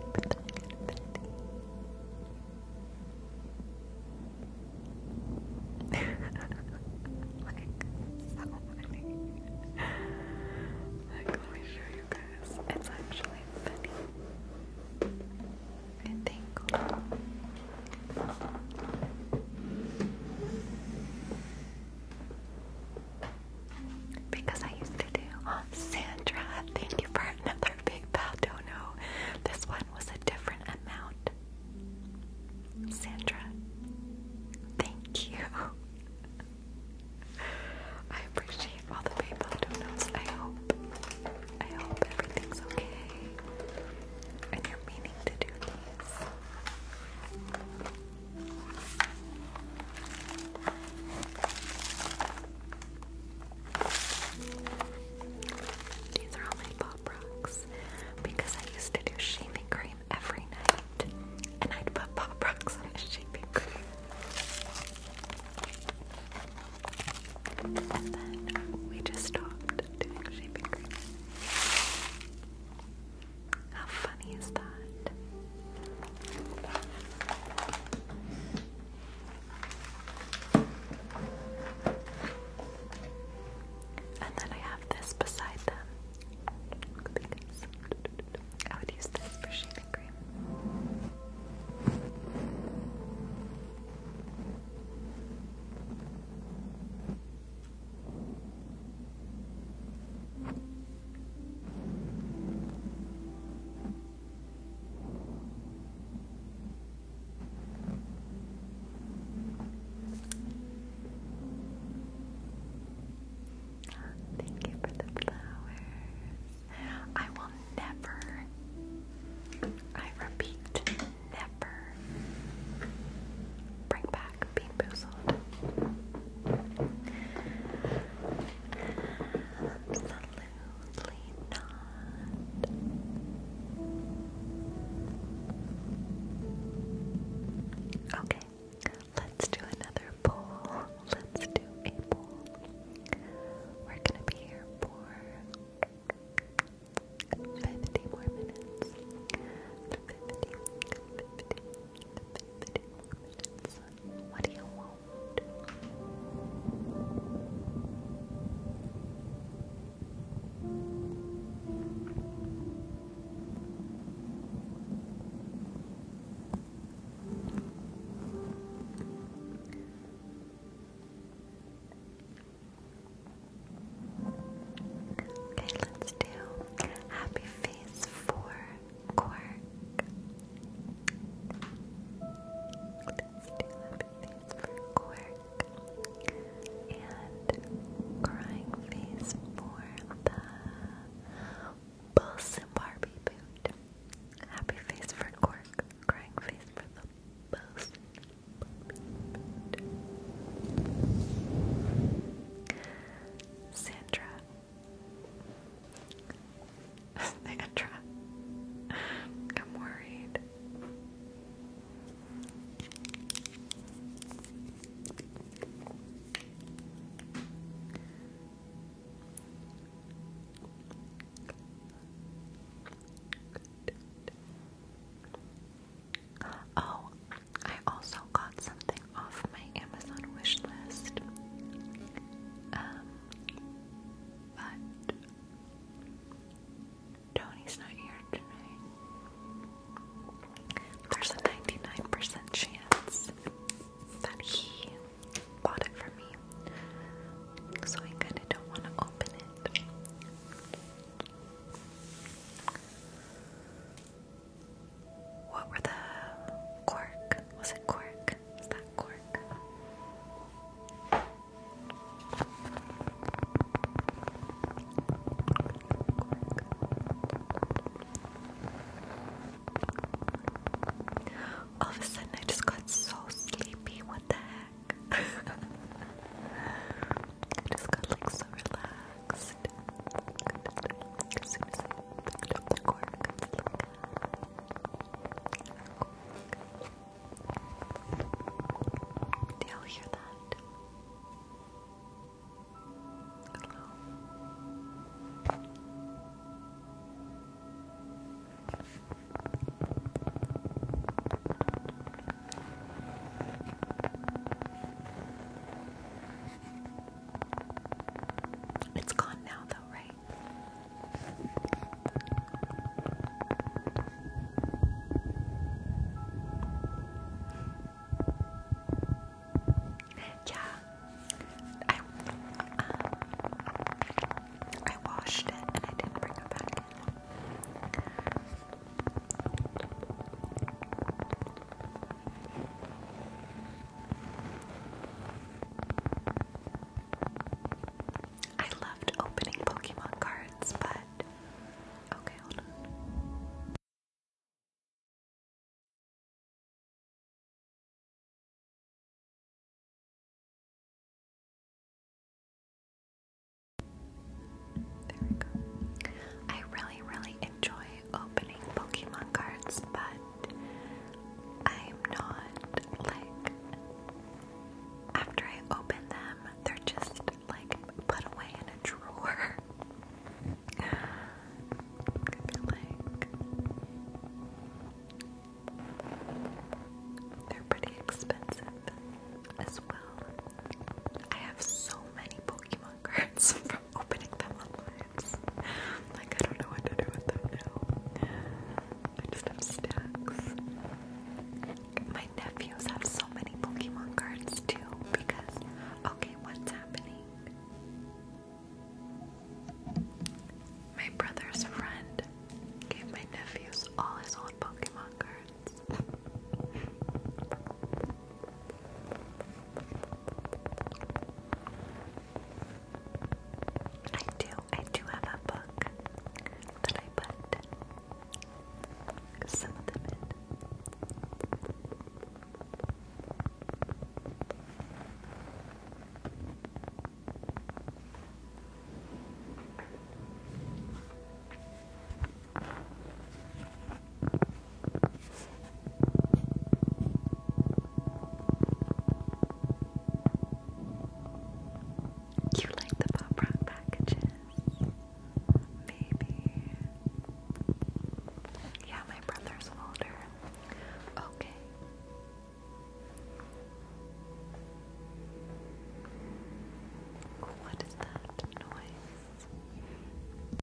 it's actually funny. I think. Because I used to do um, Sandra, thank you for another big pal dono. This one was a different amount Sandra, thank you. I appreciate all the PayPal donuts. I hope, I hope everything's okay. And you're meaning to do these. These are all my pop rocks because I used to do shaving cream every night, and I'd put Pop Rocks on the shaving cream. And then we just stopped doing shaving cream. How funny is that? And then I have this beside them. I would use this for shaving cream. Thank you for the flowers. I will never, I repeat, never bring back being boozled. Absolutely not. Okay, let's do another poll. Let's do a poll. We're gonna be here for 50 more minutes. 50, minutes. What do you want? Okay, let's do Happy Face for Quark. Let's do Happy Face for Quark and crying face for the Bus Barbie boot. Happy face for Cork, crying face for the Bus boot. Sandra. Sandra. I'm worried. Oh, I also got something off my Amazon wish list. Um, but Tony's not here tonight. There's a 99% chance that he bought it for me. So I kind of don't want to open it. What were the cork? Was it cork? Was that cork? All of a sudden, I just got so sleepy. What the heck? I just got like so relaxed. As ah. all hear that? It's gone now, though, right? Yeah. I um, washed it and I didn't bring it back I loved opening Pokemon cards, but okay, I really, really enjoy opening Pokemon cards, but I'm not like. After I open them, they're just like put away in a drawer. they're pretty expensive as well. I have so many Pokemon cards from opening them online. Like I don't know what to do with them now. I just have stacks. My nephews have so many Pokemon cards too because okay, what's happening? My brother's friend gave my nephews all his old Pokemon cards. I do, I do have a book that I put some of them in. You like the pop rock packages? Maybe yeah, my brother's older. Okay. What is that noise?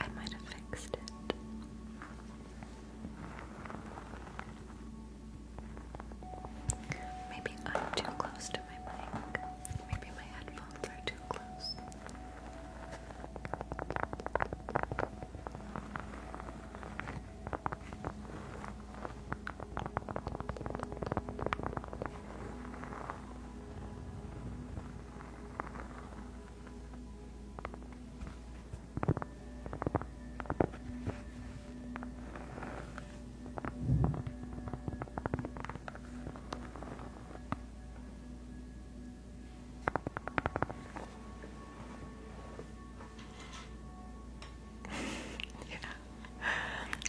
I might have fixed it. Maybe I'm too close to my mic. Maybe my headphones are too close. yeah.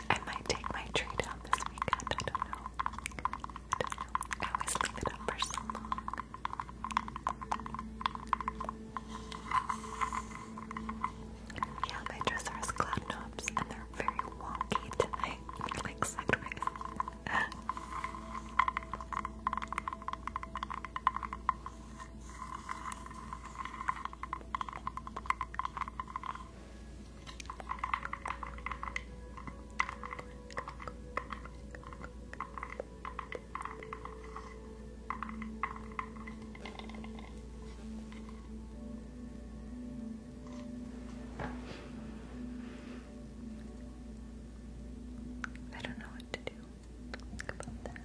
I might take my tree down this weekend, I don't know. I always leave it up for so long. Yeah, my dresser has knobs and they're very wonky tonight. like sideways. I don't know what to do about that.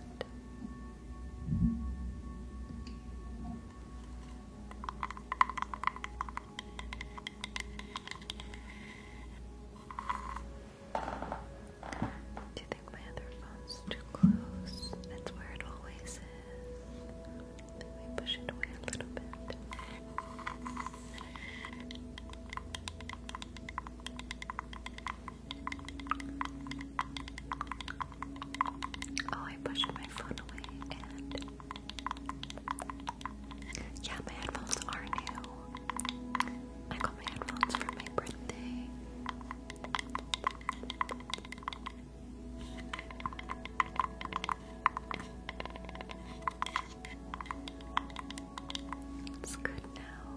Do you think my other phone's too close? That's where it always is. Let push it away a little bit. Oh, I pushed my phone away yeah, my headphones are new. I got my headphones for my birthday. It's good now.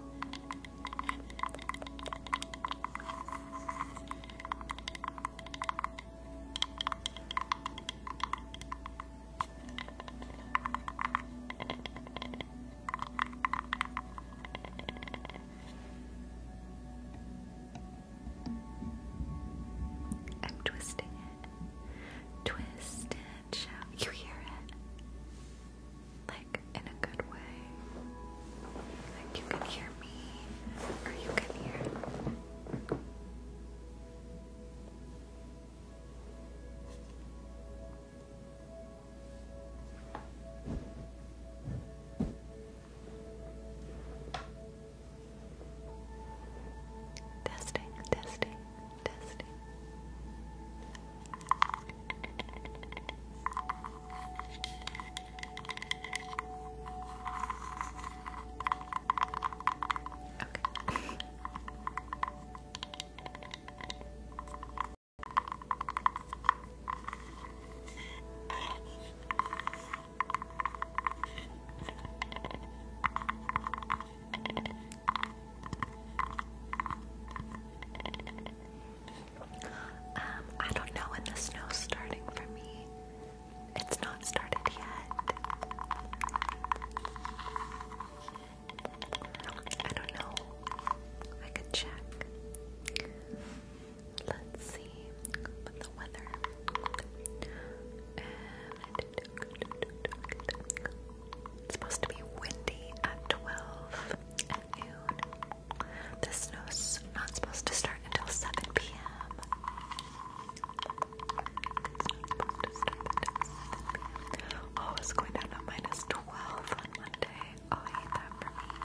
I'm twisting it. Twist it, You hear it? Like in a good way. Like you can hear me, or you can hear. Testing, testing, testing. Okay. Um, I don't know when the snow's starting for me. It's not started yet. I don't know. I could check. Let's see. the weather. And it's supposed to be windy at 12 at noon. The snow's not supposed to start until 7 p.m. Oh, it's going down to minus 12 on Monday. Oh, I hate that for me.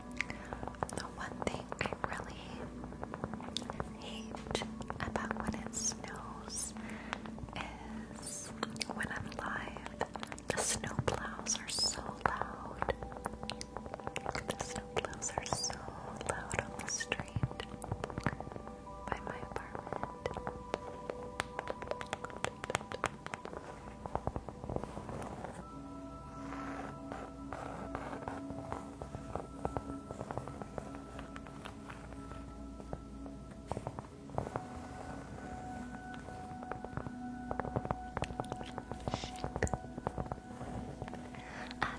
The one thing I really hate about when it snows is when I'm live, the snow plows are so loud. The snow are so loud on the street by my apartment. I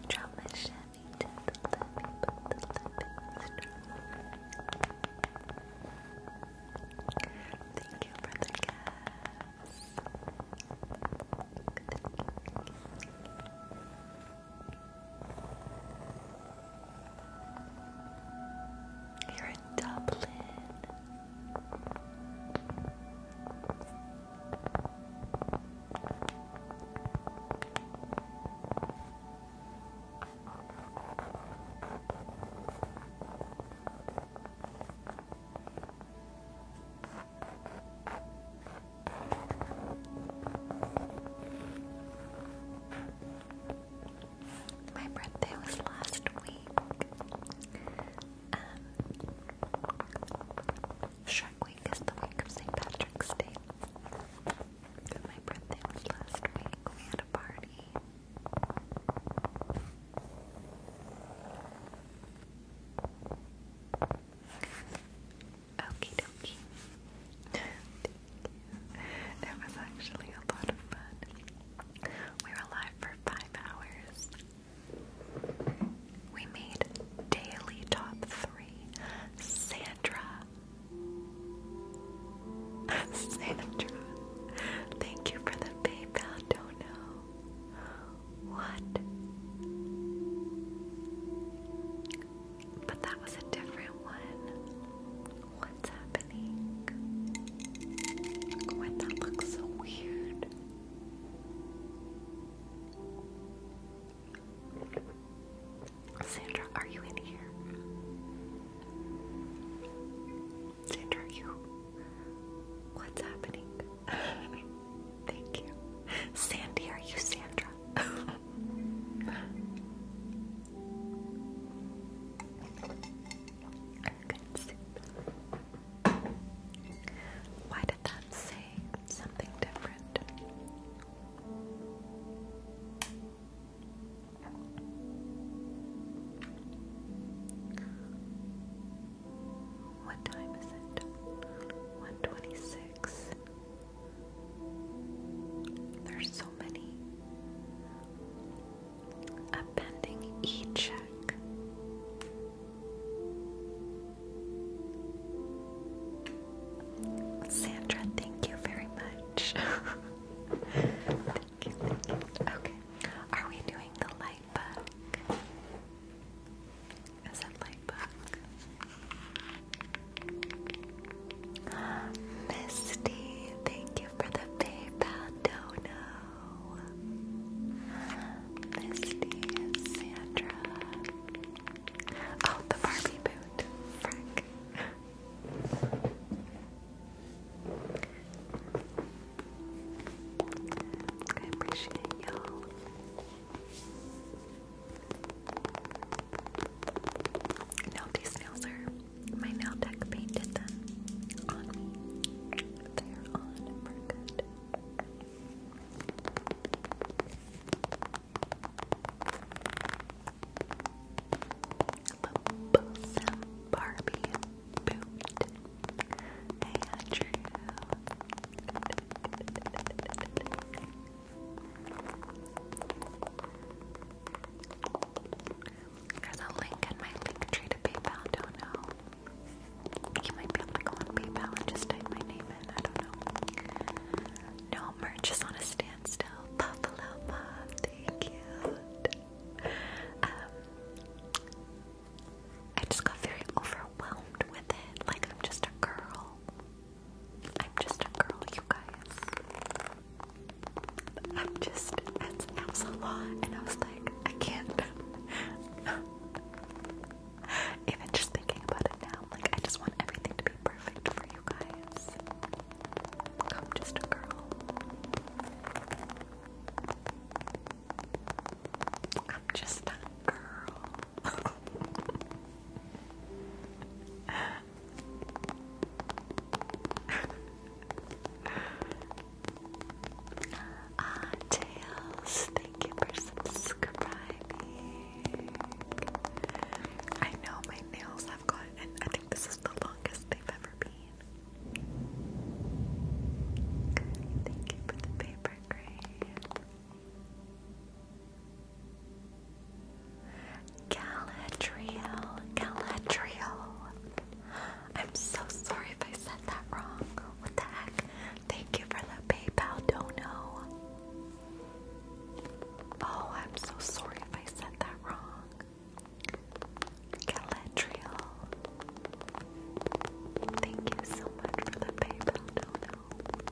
draw my Chevy to the levee, Thank you for the cat. You're in Dublin. My birthday was last week. Um, Shark Week is the week of St. Patrick's Day. My birthday was last week. We had a party. Okie dokie. it was actually a lot of fun. We were live for five hours. We made daily top three. Sandra. Sandra. Thank you for the PayPal dono. What? But that was a different one. What's happening? What? That looks so weird. Sandra, are you in here? Sandra, are you? What's happening? Thank you. Sandy, are you Sandra? Why did that say something different? What time is it? 126. There's so many. pending e-check. Sandra, thank you very much. thank you. Okay. Are we doing the light? light Is it light bug? Misty, thank you for the PayPal dono. Misty Sandra. Oh, the Barbie boot. Frick. I appreciate y'all. No, these nails are my nail tech painted them on me. They're on for good. Barbie boot. Hey, Andrew. There's a link in my link tree to PayPal, don't know. You might be able to go on PayPal and just type my name in, I don't know. No, merch is on a standstill. Buffalo thank you. Um, I just got very overwhelmed like, I'm just a girl. I'm just a girl, you guys. I'm just, And I was like, I can't. Even just thinking about it now, like, I just want everything to be perfect for you guys. I'm just a girl. I'm just a girl. Tails, thank you for subscribing. I know my nails have gotten, I think this is the longest they've ever been. Thank you for the paper crane. Galadriel, Galadriel. I'm so sorry if I said that wrong. What the heck? Thank you for the PayPal dono. Oh, I'm so sorry if I said that wrong. Galadriel. Thank you so much for the PayPal dono.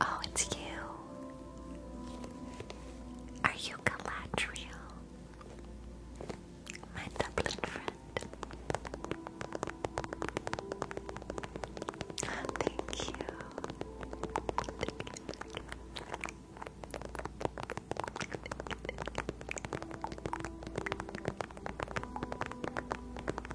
Oh, it's you. Are you Galadriel? My Dublin friend. Thank you.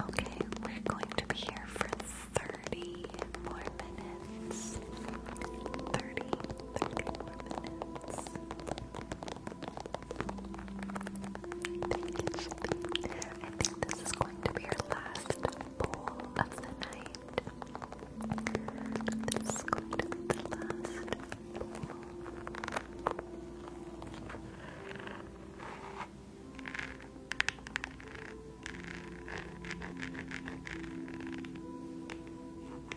okay, we're going to be here for 30 more minutes minutes. 30, minutes. I think this is going to be our last bowl of the night. This is going to be the last bowl.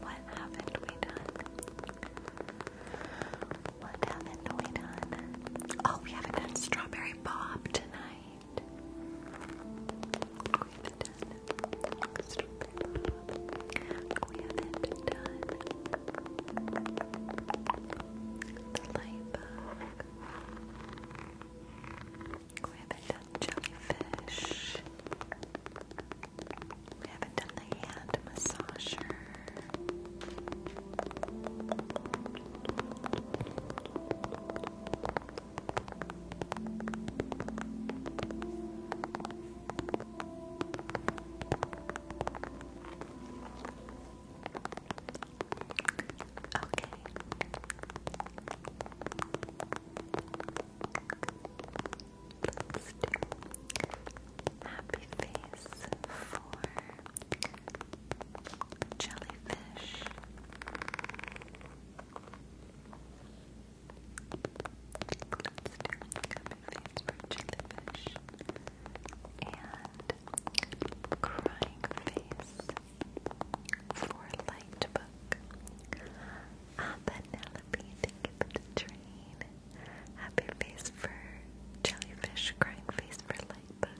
What haven't we done? What haven't we done? Oh, we haven't done strawberry bob tonight. We haven't done the light bug. We haven't done jellyfish. We haven't done the hand massager. Okay. Let's do happy face for jellyfish. Let's do happy face for jellyfish and crying face for light book. Ah, Penelope, thank you train. Happy face for jellyfish, crying face for light book.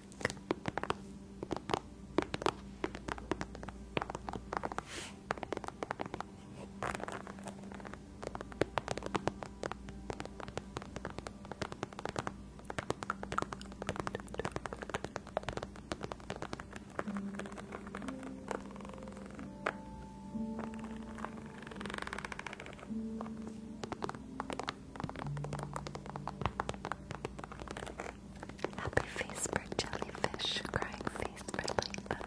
Happy face for jellyfish, crying face for lightbug.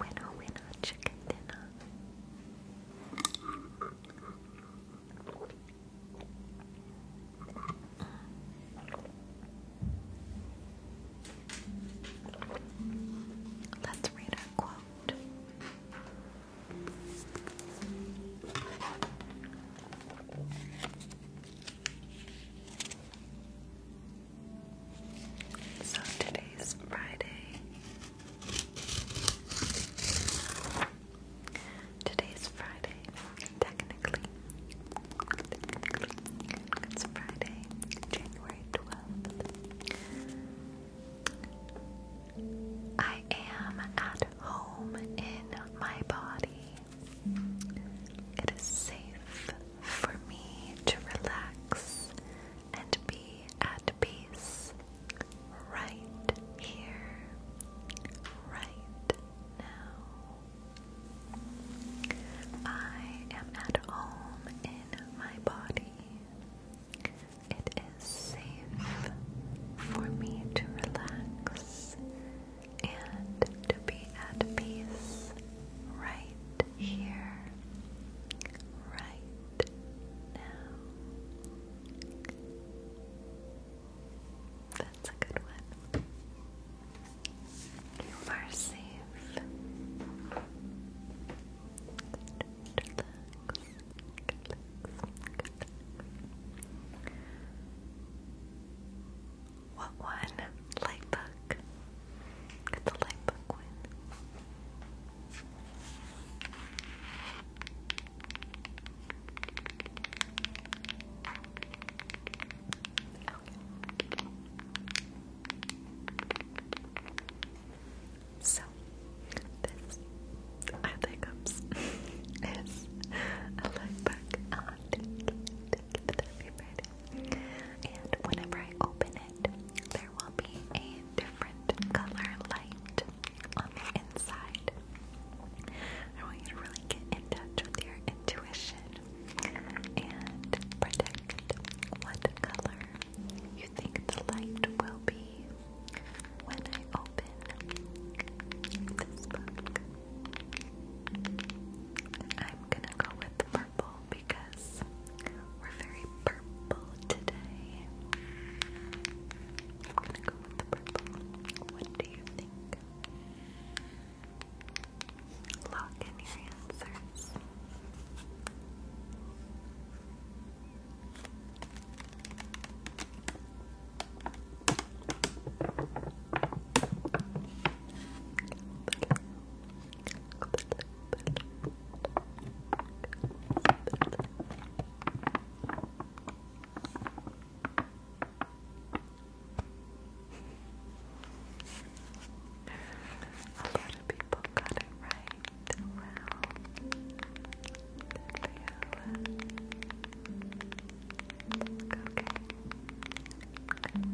Winner, winner, chicken dinner. Let's read our quote. So today's Friday, Today's Friday, Technically, it's Friday, January 12th. I am at home in my body. It is safe for me to relax and be at peace right here, right now. I am at home in my body. It is safe for me to relax and to be at peace right here, right now. That's a good one. You are safe. What one? Light book. Get the light book one. Okay. So, this I think is a look back on the, the, the February. And whenever I open it, there will be a different color light on the inside. I want you to really get in touch with your intuition and predict what color you think the light will be when I open this book. I'm gonna go with purple because we're very purple today. I'm gonna go with the purple. What do you think? Lock in your answers. A lot of people got it right. Wow. Okay.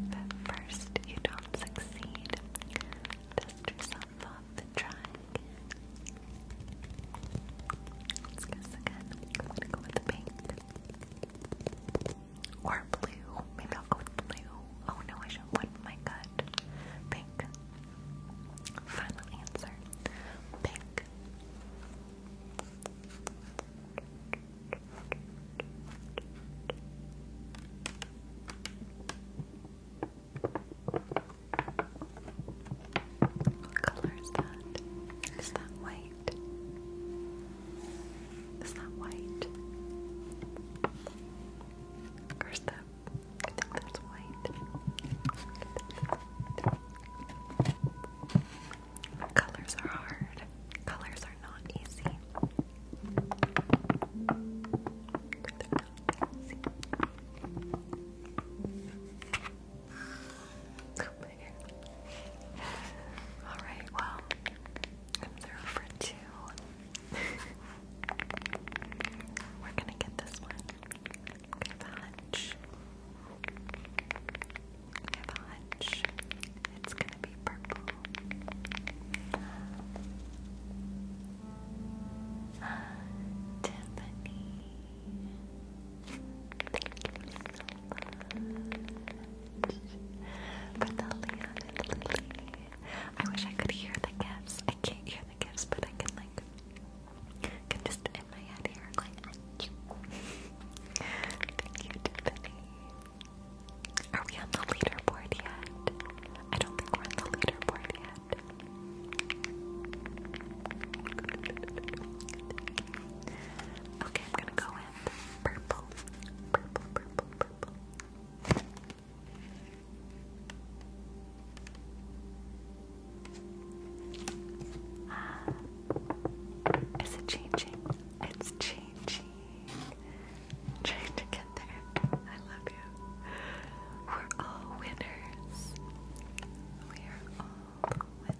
But first, you don't succeed. Dust yourself jump off Let's guess again. I'm gonna go with the pink. Or blue. Maybe I'll go with blue. Oh no, I should went my gut. Pink. Final answer. Pink. What color is that? Is that white? Is that white? Or is I think that's white. Colors are hard. Colors are not easy. Alright, well, I'm through for two. We're gonna get this one. I have a hunch. I have a hunch. It's gonna be purple. Tiffany. But the Leon and Lily. I wish I could hear the gifts. I can't hear the gifts, but I can like can just in my head here thank you. thank you, Tiffany. Are we on the leaderboard yet? I don't think we're on the leaderboard yet that. Okay, I'm gonna go with purple. Purple, purple, purple. Ah, is it changing? It's changing. trying to get there. I love we're all winners. We are all winners.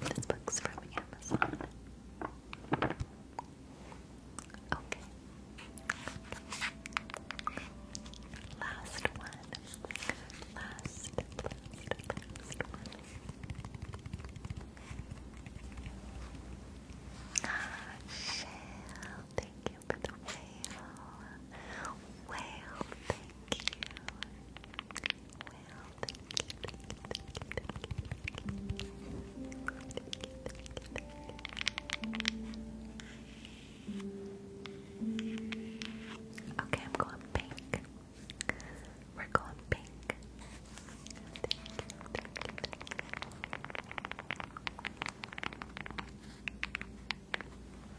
This book's from Amazon. Okay. Last one. Last, last, Ah, Shell, thank you the whale. Whale, thank you. Whale, thank you, Okay, I'm going pink. We're going pink. thank you.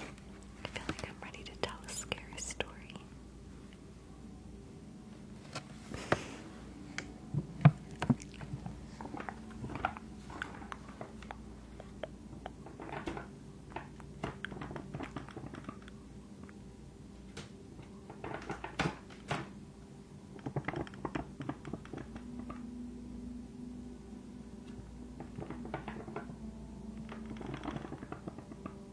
I feel like I'm ready to tell a scary story.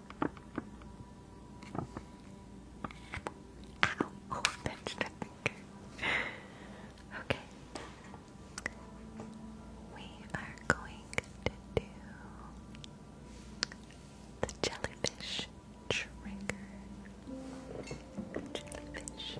Ow! Oh, Okay. We are going to do the jellyfish trigger. Jellyfish.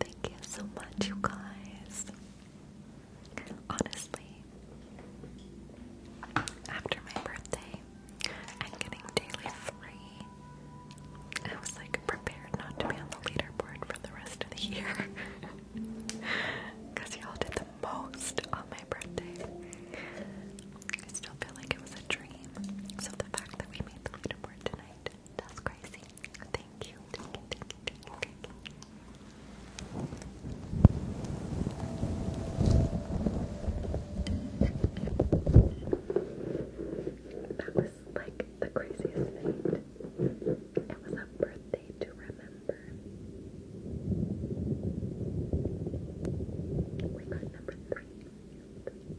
Thank you so much, you guys. Honestly, after my birthday and getting daily free, I was like prepared not to be on the leaderboard for the rest of the year. Because y'all did the most on my birthday. I still feel like it was a dream. So the fact that we made the leaderboard tonight that's crazy. Thank you. That was like the craziest thing. It was a birthday to remember. We got number three.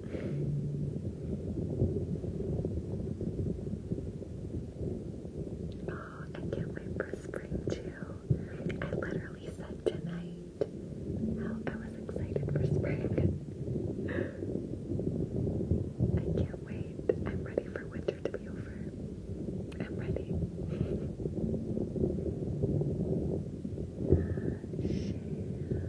Oh, I can't wait for spring too. I literally said tonight I was excited for spring. I can't wait. I'm ready for winter to be over. I'm ready. thank you for that.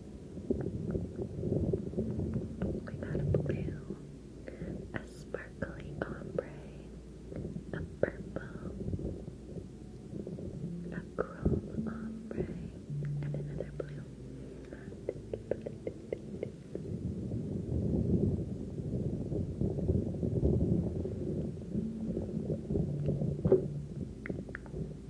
We got a blue, a sparkly ombre, a purple, a chrome ombre, and another blue.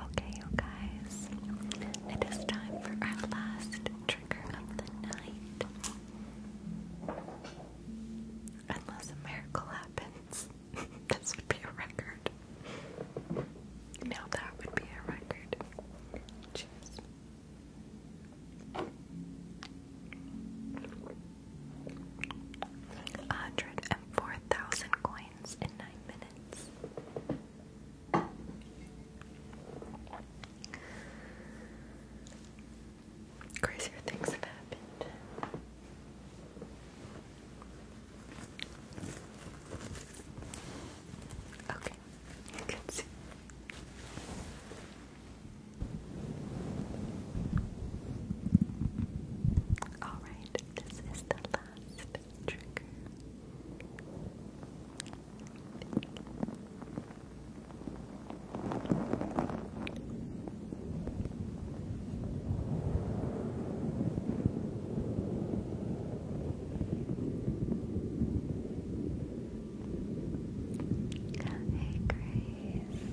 Okay, you guys, it is time for our last trigger of the night. Unless a miracle happens. this would be a record. Now that would be a record. Cheers. Hundred and four thousand coins in nine minutes. Crazier things have happened. Okay, you can see. Alright, this is the last trigger. Hey Grace,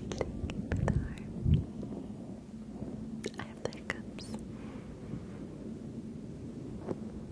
thank you the heart. I have the hiccups. Happy Friday.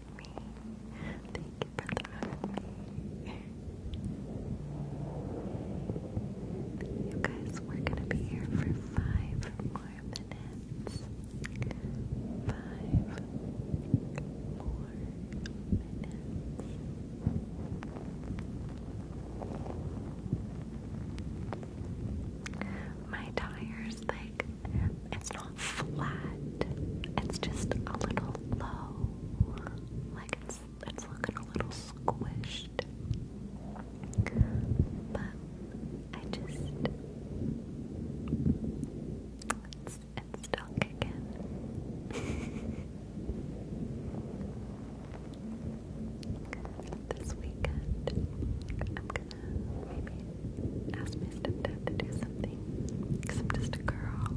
me. Thank you for loving You guys, we're gonna be here for five more minutes. Five more minutes. My tire's like, it's flat. It's just a little low. Like it's looking a little squished. But I just it's it's still kicking. This weekend, I'm gonna maybe ask my stepdad to do something because I'm just a girl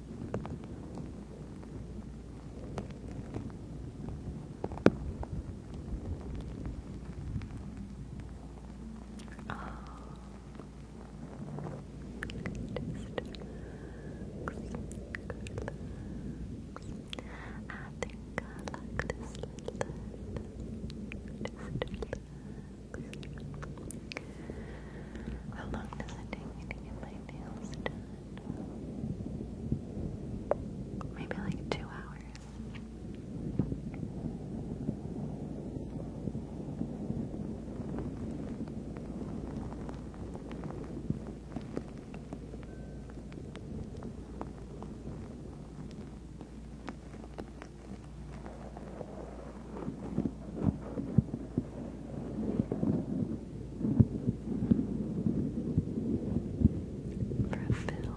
I think I like this little just relax, how long does it take me to get my nails done? Maybe like two hours. For a fiddle.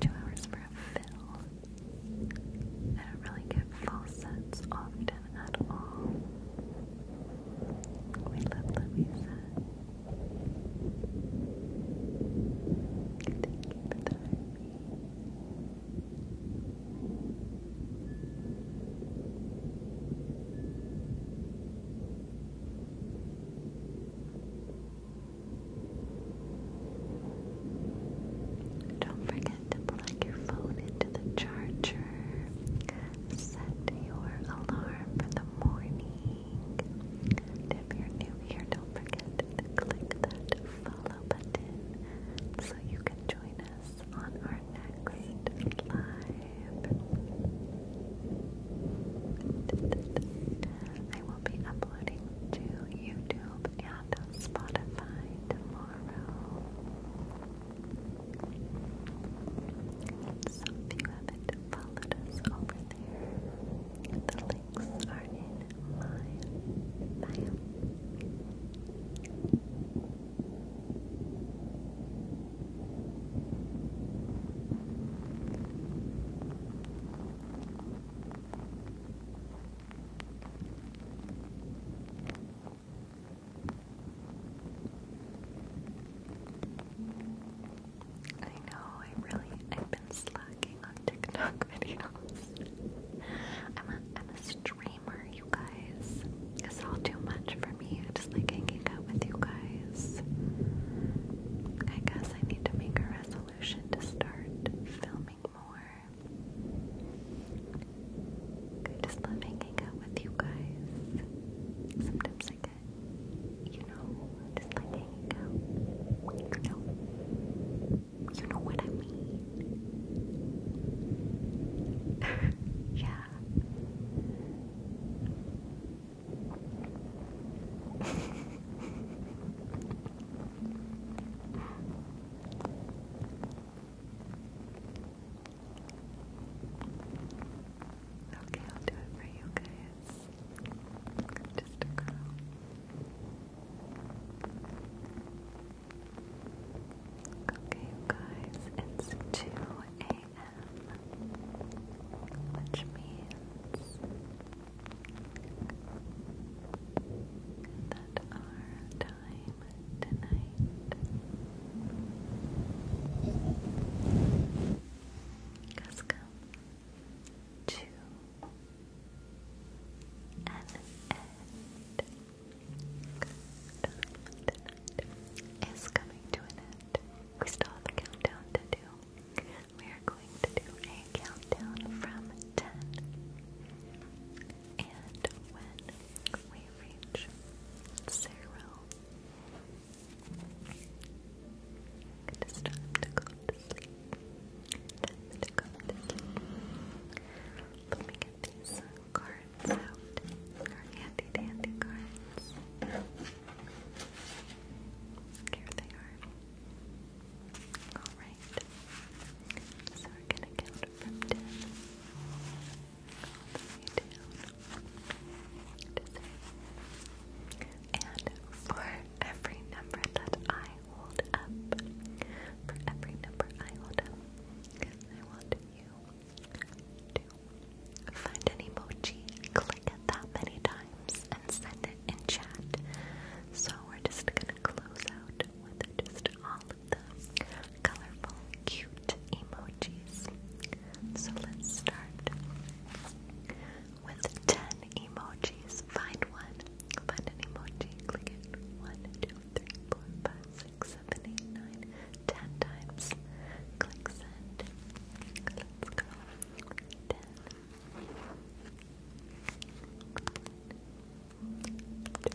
Two hours for a fiddle. I don't really get full sets often at all. We love Louisa. Thank you for the don't forget to plug your phone into the charger. Set your alarm for the morning. if you're new here, don't forget to click that follow button so you can join us on our next live. I will be uploading to YouTube and Spotify tomorrow. So if you haven't followed us over there, the links are in I know, I really, I've been slacking on TikTok videos. I'm a, I'm a streamer timer, you guys. It's all too much for me. I just like hanging out with you guys. I guess I need to make a resolution to start filming more. I just love hanging out with you guys. Sometimes I get, you know, just like hanging out. You know? You know what I mean? yeah. okay, I'll do it for you guys. Just a girl. Okay, guys, it's 2 a.m., which means that our time tonight has come to an end. Good. is coming to an end. We still have a countdown to do. We are going to do a countdown from 10. And when we reach zero, it is time to go to sleep. Time to go to sleep. Let me get these cards out. Our handy dandy cards. Here they are. Alright. So we're gonna count from ten. All the way down. And for every number that I hold up, for every number I hold up, I want you to find an emoji, click it that many times, and send it in chat. So we're just gonna close out with just all of the colorful, cute emojis. So let's start with 10 emojis. Find one, find an emoji, click it. One, two, three, four, five, six, seven, eight, nine, ten times. Click send. Let's Ten. Six, seven, eight,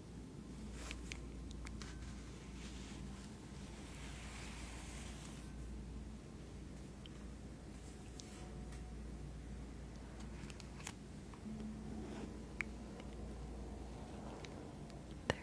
Three. Two. Three.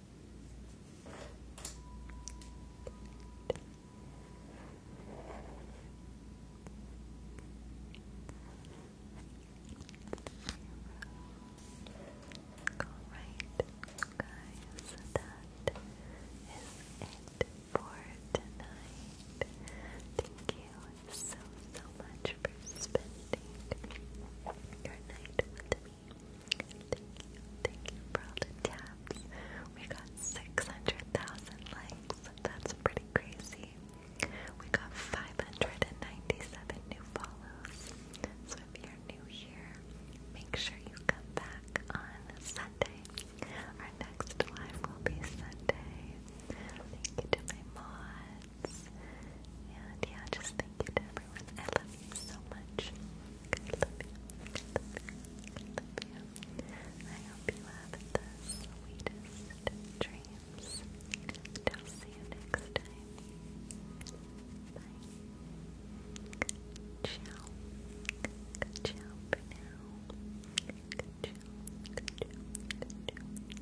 guys, that is it for tonight. Thank you so, so much for spending your night with Thank you, thank you for all the taps. We got 600,000 likes. That's pretty crazy. We got 597 new follows. So if you're new here, make sure you come back on Sunday. Our next live will be Sunday. Thank you to my mods. And yeah, just thank you to everyone. I love so much. I you. hope you have the sweetest dreams. And see you next time. Bye. Good ciao for now. Good ciao. Good ciao.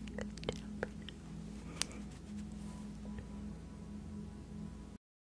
Good ciao. Good ciao for now.